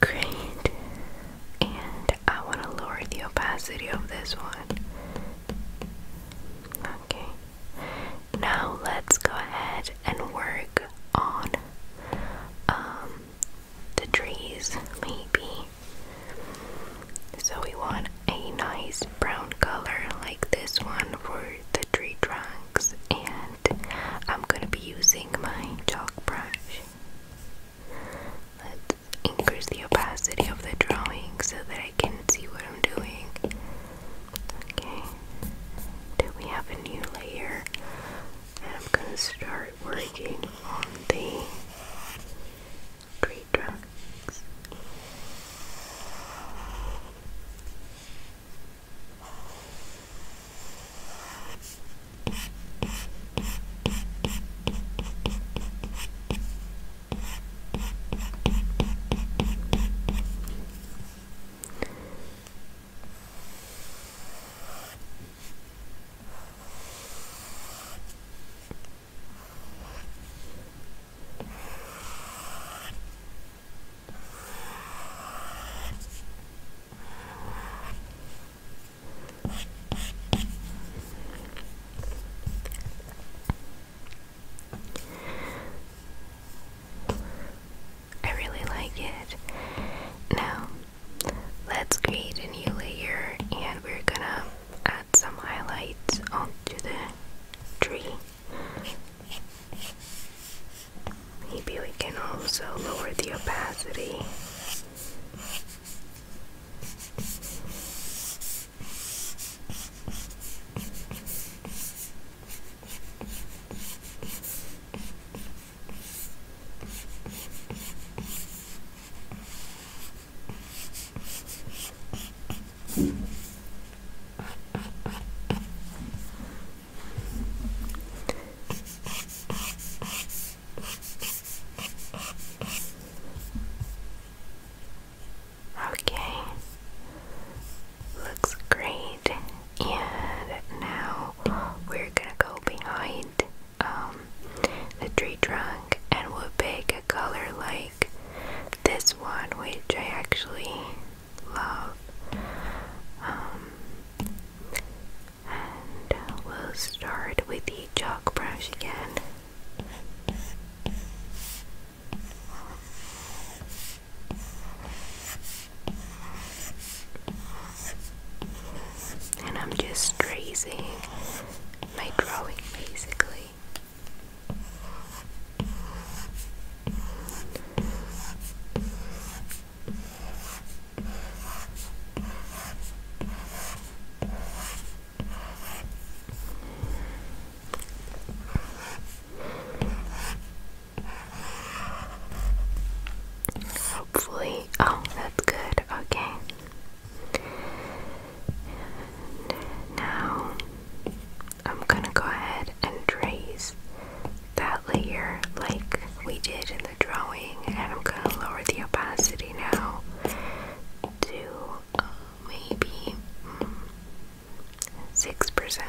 Great. And I want to lower the opacity of this one. Okay. Now let's go ahead and work on um, the trees, maybe. So we want a nice brown color like this one for the tree trunks and I'm gonna be using my chalk brush. Let's increase the opacity of the drawing so that I can see what I'm doing. Okay, then we have a new layer I'm gonna start working on the Three trunks. I really like it. Now, let's create a new layer and we're gonna add some highlights onto the tree. Maybe we can also lower the opacity. Okay, looks great. And now we're gonna go behind um, the tree trunk and we'll pick a color like this one, which I actually love. Um, and we'll start with the chalk brush again. And I'm just tracing my drawing basically. Hopefully, oh, that's good. Okay. And now I'm gonna go ahead and trace that layer like we did in the drawing, and I'm gonna lower the opacity now to uh, maybe mm, six percent.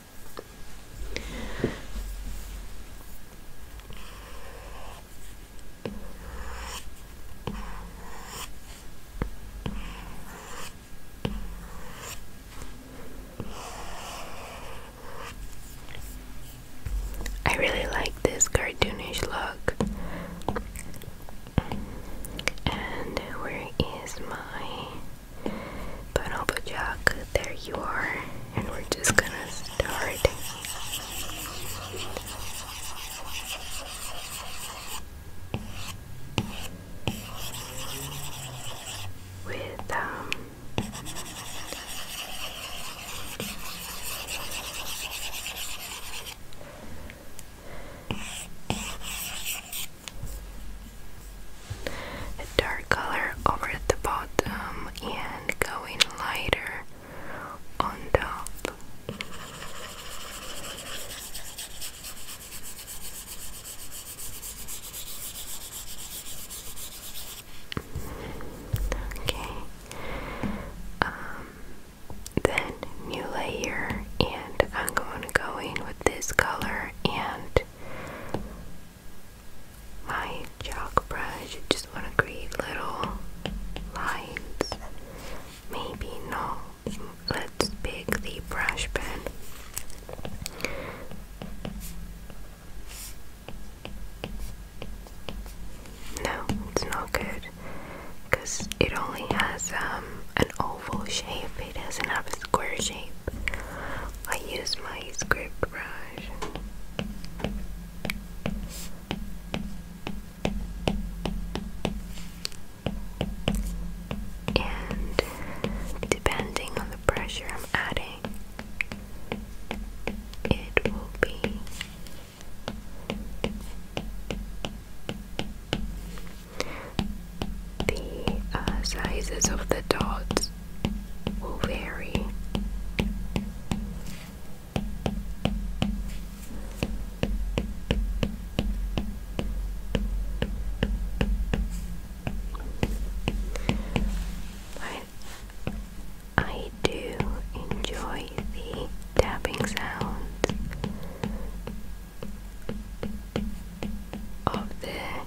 I really like this cartoonish look. And where is my but Oba Jack, there you are, and we're just gonna start. With um, a dark color over at the bottom and going lighter on top. Okay. Um, then new layer, and I'm going to go in with this color and my chalk brush. I just want to create little lines. Maybe no. Let's pick the brush pen. No, it's not good because it only has um, an oval shape it doesn't have a square shape, I use my script brush. And depending on the pressure I'm adding, it will be the uh, sizes of the dots will vary. I do enjoy the tapping sound of the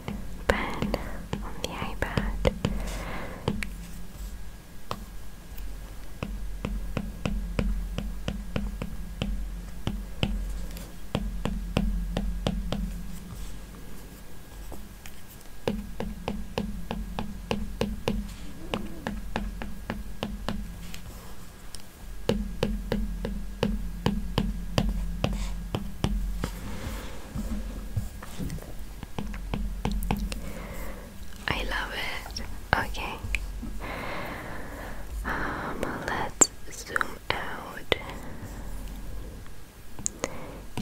pen on the iPad. I love it. Okay. Um, let's zoom out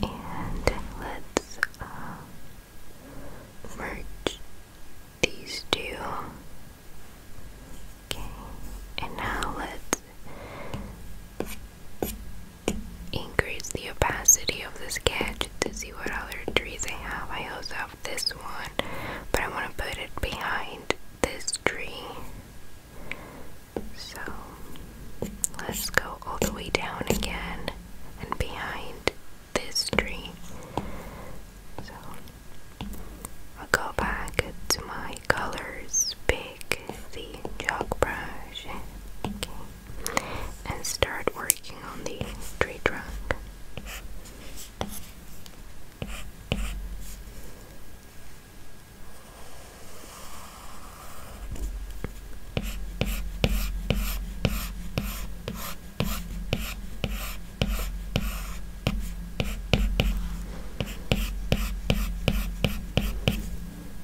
and let's uh, merge these two. Okay, and now let's increase the opacity of the sketch to see what other trees I have. I also have this one, but I want to put it behind this tree. So let's go all the way down again and behind this tree. So I'll go back to my colors bin take the chalk brush and start working on the tree trunk.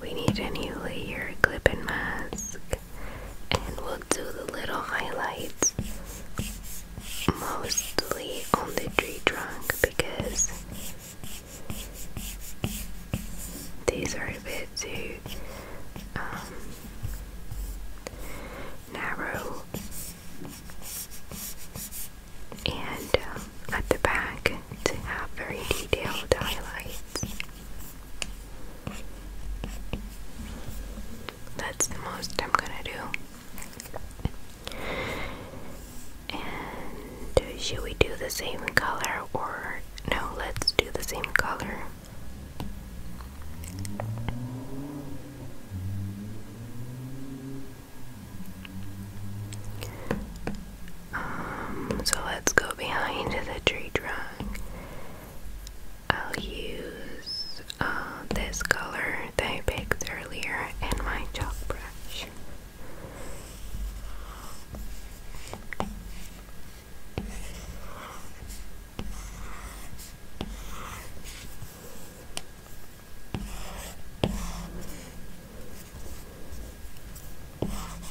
We need a new layer clip and mask, and we'll do the little highlights mostly on the tree trunk because these are a bit too um, narrow and um, at the back to have very detailed highlights. That's the most I'm gonna do. And uh, should we do the same color or no? Let's do the same color. Um, so let's go behind the tree trunk. I'll use uh, this color that I picked earlier in my chalk brush. Of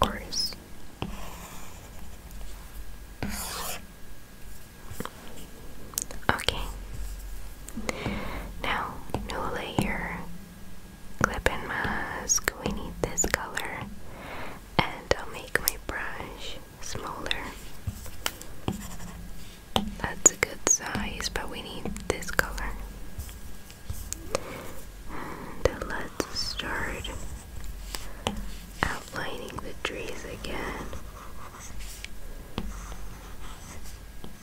course. Okay. Now, new layer Clipping and mask, we need this color. And I'll make my brush smaller. That's a good size, but we need this color. And let's start outlining the trees again.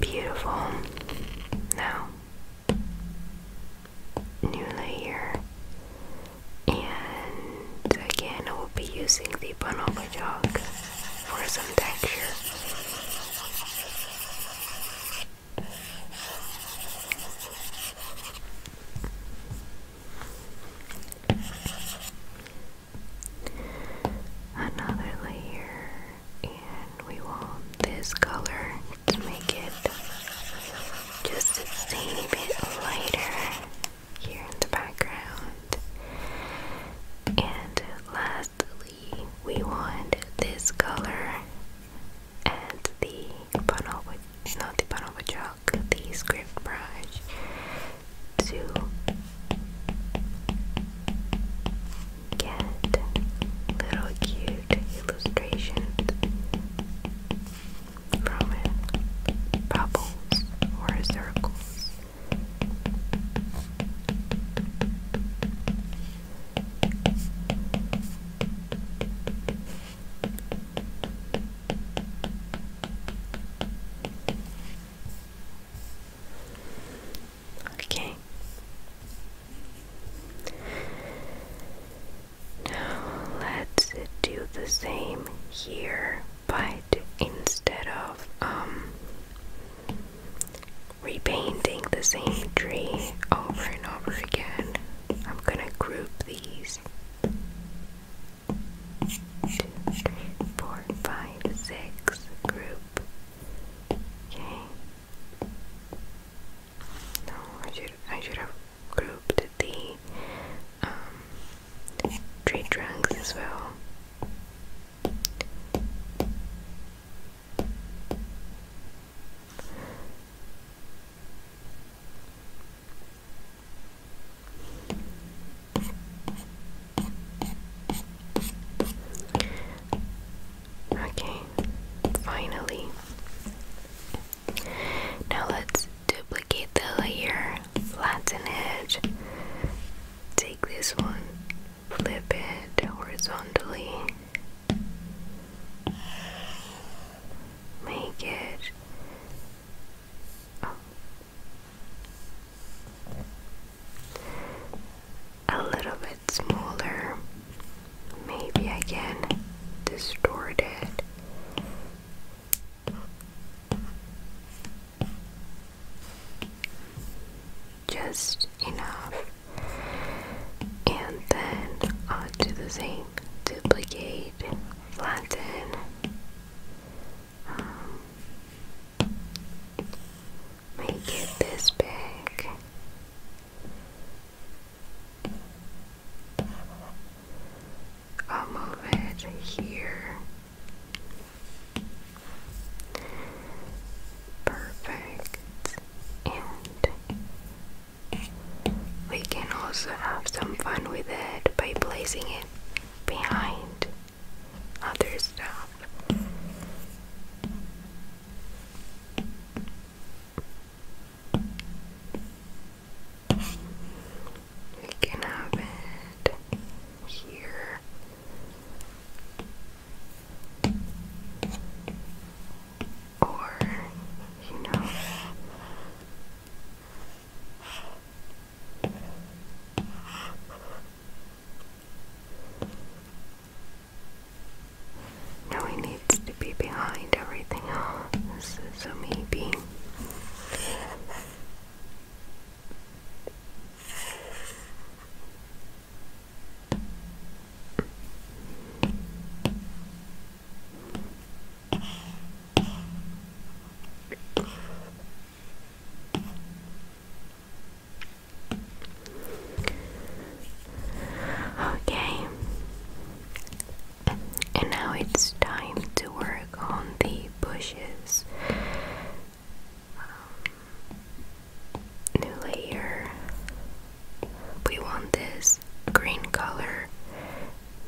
Beautiful. Now, new layer, and again, I will be using the Bonobo for some texture. Another layer and we want this color to make it just a tiny bit lighter here in the background. And lastly, we want this color and the Panova, not the Panova chalk, the script brush to get little cute illustrations from it. Bubbles or circles. Okay. Now let's do the same here, but instead of um, repainting the same tree over and over again, I'm gonna group these. Two, three, four, five, six. Group. Okay. No, I should I should have grouped the tree um, trunks as well. Okay, finally. Now let's duplicate the layer, flatten it, take this one, flip it horizontally, make it. Oh a little bit smaller. Maybe I can distort it. Just enough, and then I'll do the same duplicate, flatten, um, make it this big, I'll move it here. Perfect. And we can also have some fun with it by placing it behind other stuff. We can have here. Or, you know, now he needs to be behind everything else, so maybe. Okay, and now it's time to work on the bushes. Um, new layer. We want this green color,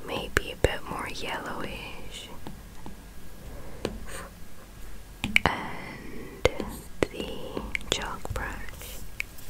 maybe a bit more yellowish, and the chalk brush.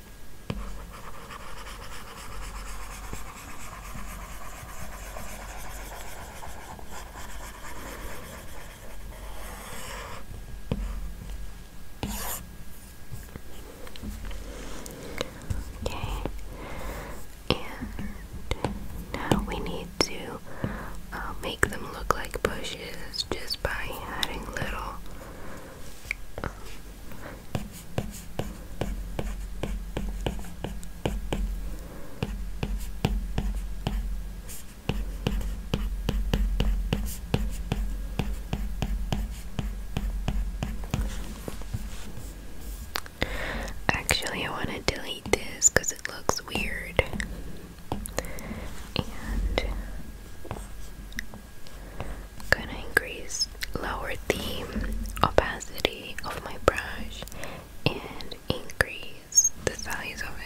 Okay, and now we need to uh, make them look like bushes just by adding little Actually, I want to delete this because it looks weird. And gonna increase lower the opacity of my brush and increase the size of it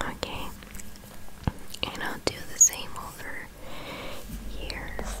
Okay, and I'll do the same over years.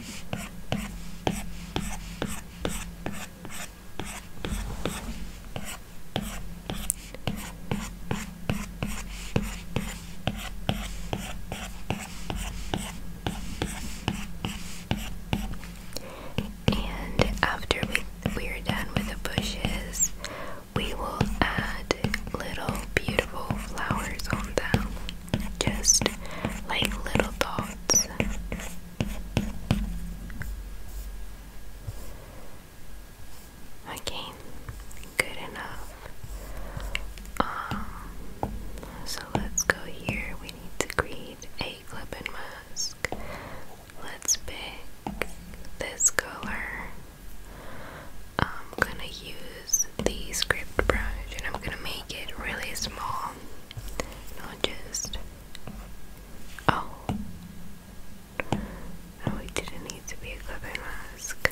And after we, we're done with the bushes, we will add little beautiful flowers on them just like little thoughts. Okay, good enough. Um, so let's go here. We need to create a clip mask. Let's pick this color. I'm gonna use the script brush and I'm gonna make it really small. Not just. Oh. Oh, it didn't need to be a clip mask.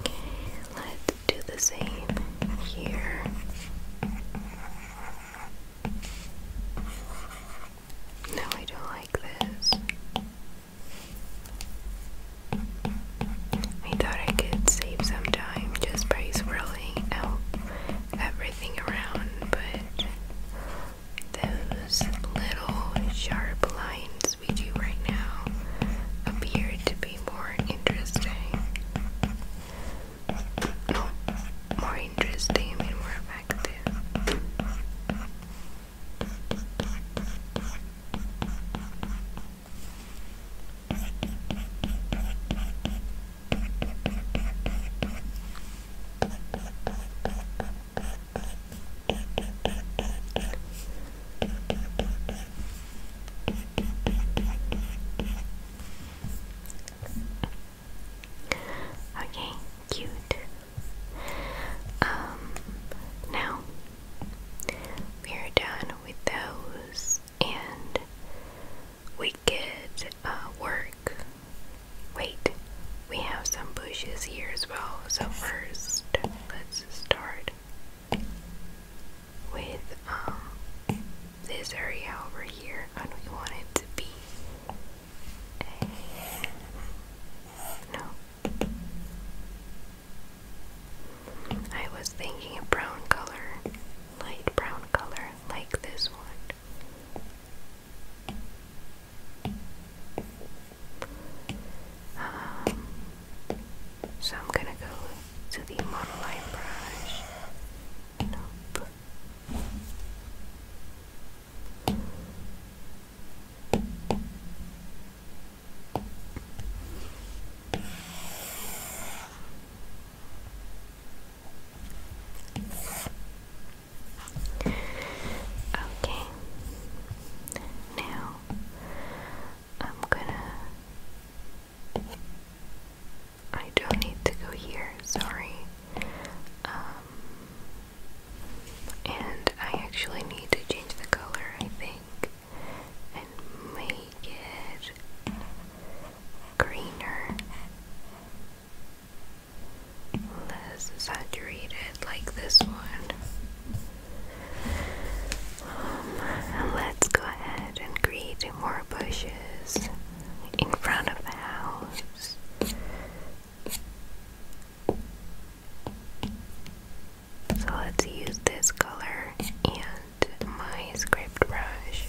Okay, let's do the same here. No, I don't like this. I thought I could save some time just by swirling out everything around, but those little sharp lines we do right now appear to be more interesting. No, more interesting and more effective. Okay, cute. Um, now we're done with those, and we could uh, work. Wait, we have some bushes here as well. So, first, let's start with um, this area over here and we want it to be no I was thinking a brown color light brown color like this one um, so I'm gonna go to the model line brush. Okay. Now I'm gonna. I don't need to go here, sorry. Um, and I actually need to change the color, I think, and make it greener, less saturated, like this one let's go ahead and create more bushes in front of the house. So let's use this color and my script brush.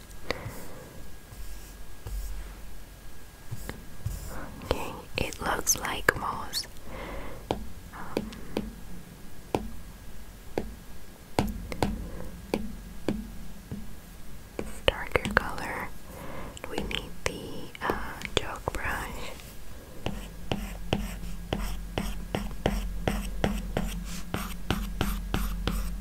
Okay, it looks like moss. Um, darker color. We need the uh, brush.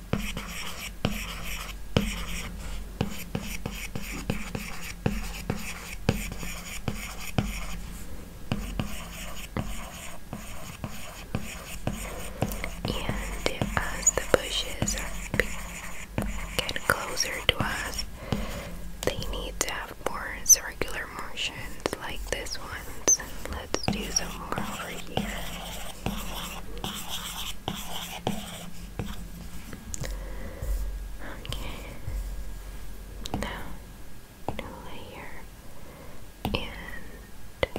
And as uh, the bushes are getting closer to us, they need to have more circular motions like this one ones. Let's do some more over here. Okay. layer. And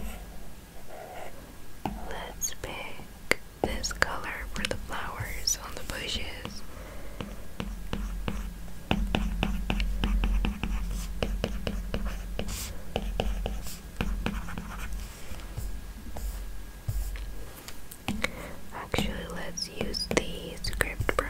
let's pick this color for the flowers on the bushes. Actually, let's use the script brush.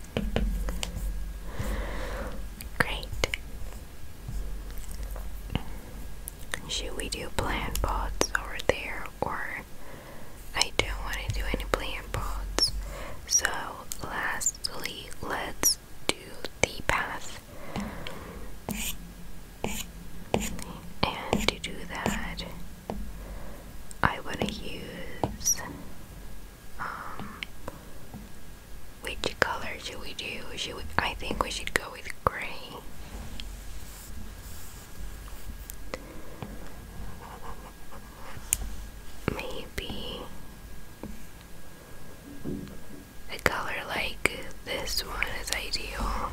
Great. Should we do plant pots over there or I don't want to do any plant pots. So lastly let's do the path. And to do that I want to use um, which color should we do? Should I think we should go with gray. Maybe a color like this one is ideal.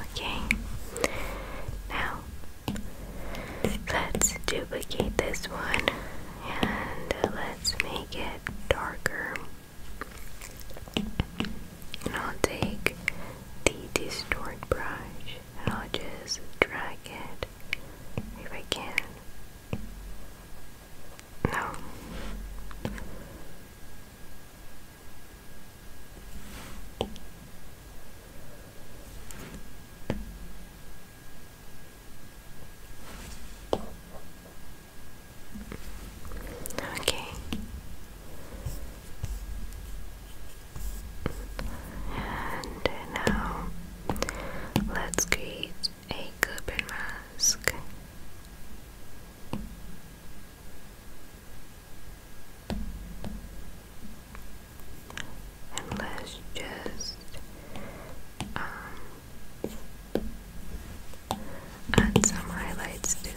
Okay, now let's duplicate this one and uh, let's make it darker. And I'll take the distort brush and I'll just drag it if I can no. Okay. And now let's create a Cooper mask. And let's just um, add some highlights to them.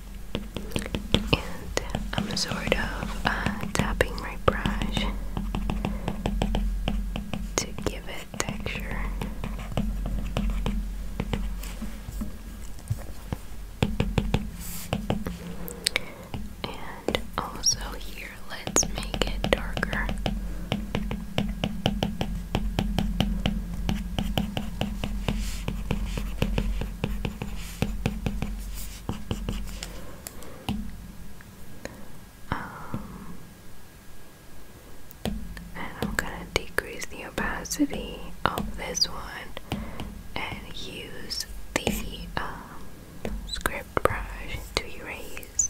and I'm sort of uh, tapping my brush to give it texture. And also, here, let's make it darker. Um, and I'm gonna decrease the opacity of this one and use the um, script brush to erase.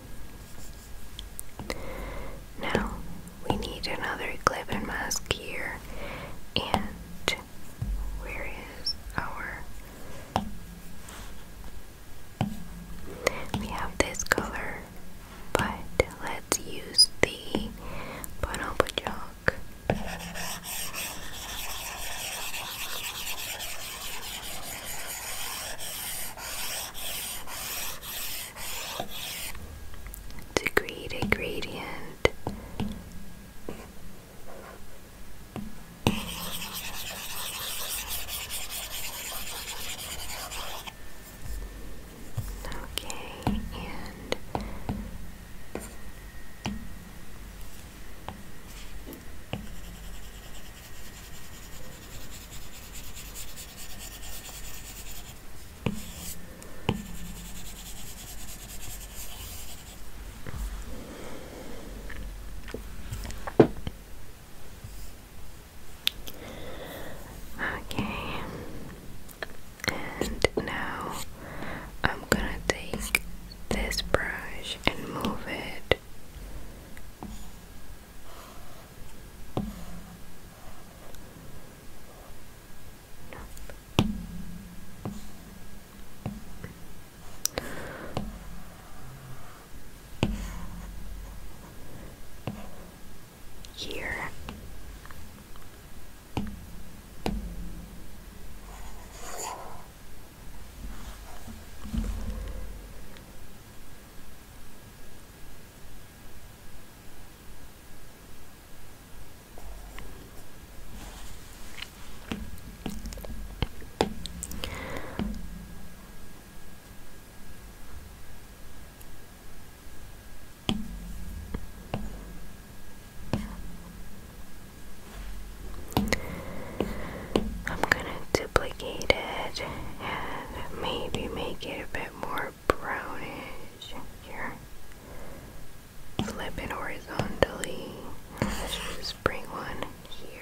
Now we need another clip and mask here and where is our we have this color but let's use the bonobo chalk to create a gradient. Okay, and Okay, and now I'm gonna take this brush and move it right. No. Here. I'm gonna do duplicate it and maybe make it a bit more brownish here. Flip it horizontally. Let's just bring one here.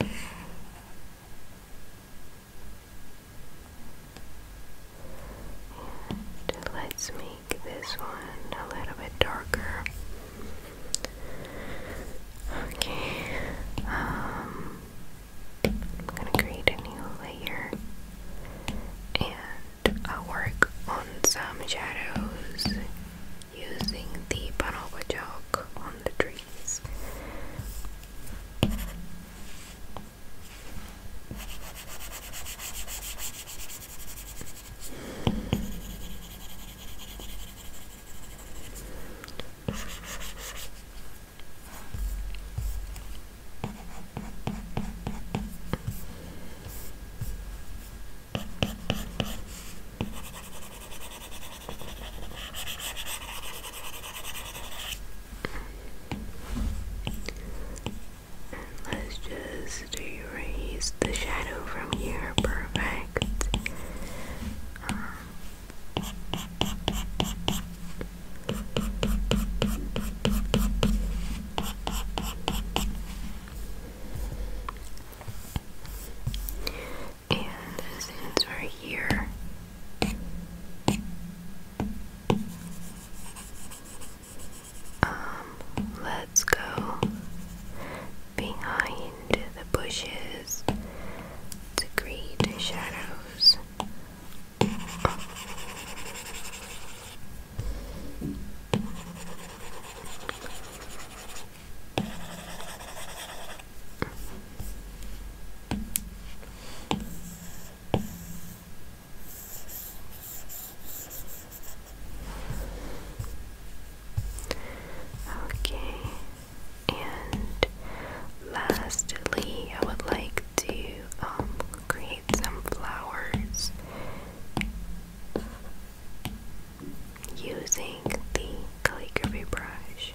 And let's make this one a little bit darker. Okay, um, I'm gonna create a new layer and I'll work on some shadows using the Panoba chalk on the trees let's just erase the shadow from here. Perfect. And since we're here, um, let's go behind the bushes to create shadows. Okay, and lastly, I would like to um, create some flowers using the calligraphy brush.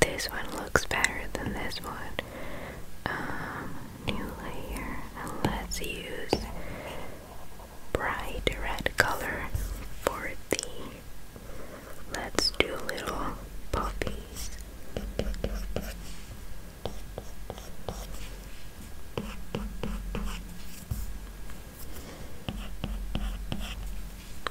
this one looks better than this one. Um, new layer, let's use bright red color for the. Let's do little puppies.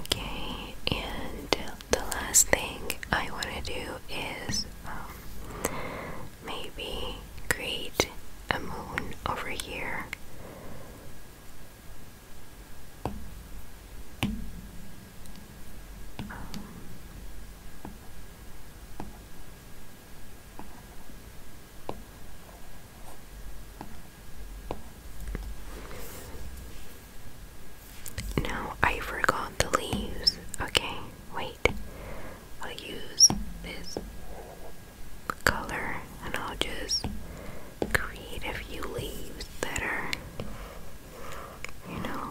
Okay, and the last thing I want to do is um, maybe create a moon over here. No, I forgot the leaves. Okay, wait. I'll use this color and I'll just create a few leaves that are, you know,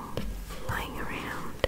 lying around.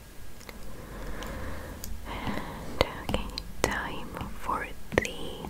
And okay, time for the moon.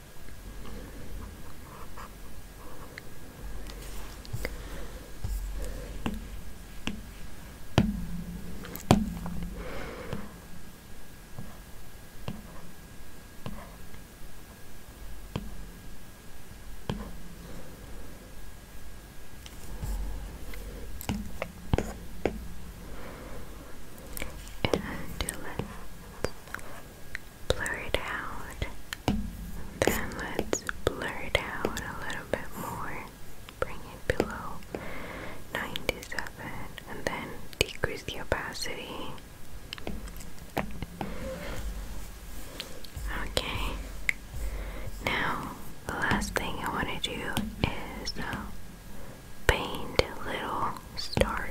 And do it blur it out. Then let's blur it out a little bit more. Bring it below 97 and then decrease the opacity. Okay. Now, the last thing I want to do is uh, paint little stars.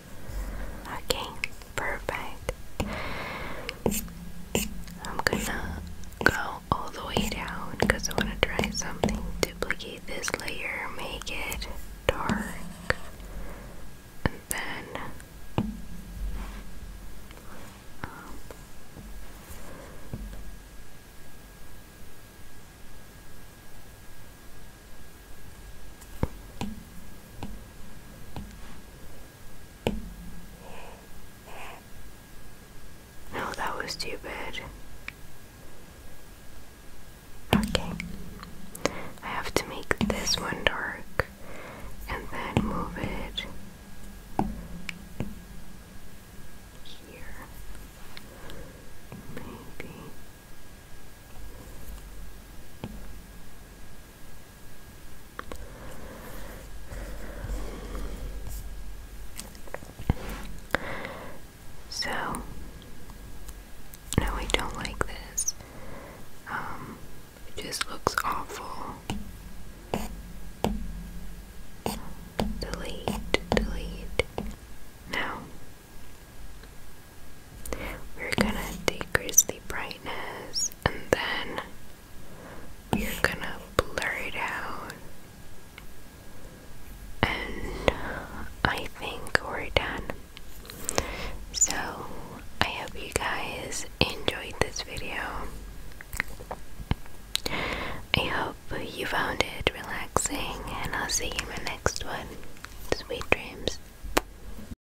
Okay, perfect. I'm gonna go all the way down because I want to try something. Duplicate this layer, make it dark, and then. Um, no, that was stupid. Okay. I have to make this one dark and then move it here. Maybe. So, no, I don't like this. Um, it just looks awful. Delete, delete. Now, we're gonna decrease the brightness and then we're gonna blur it out. And I think we're done. So I hope you guys enjoyed this video. I hope you found it relaxing, and I'll see you in my next one. Sweet dreams.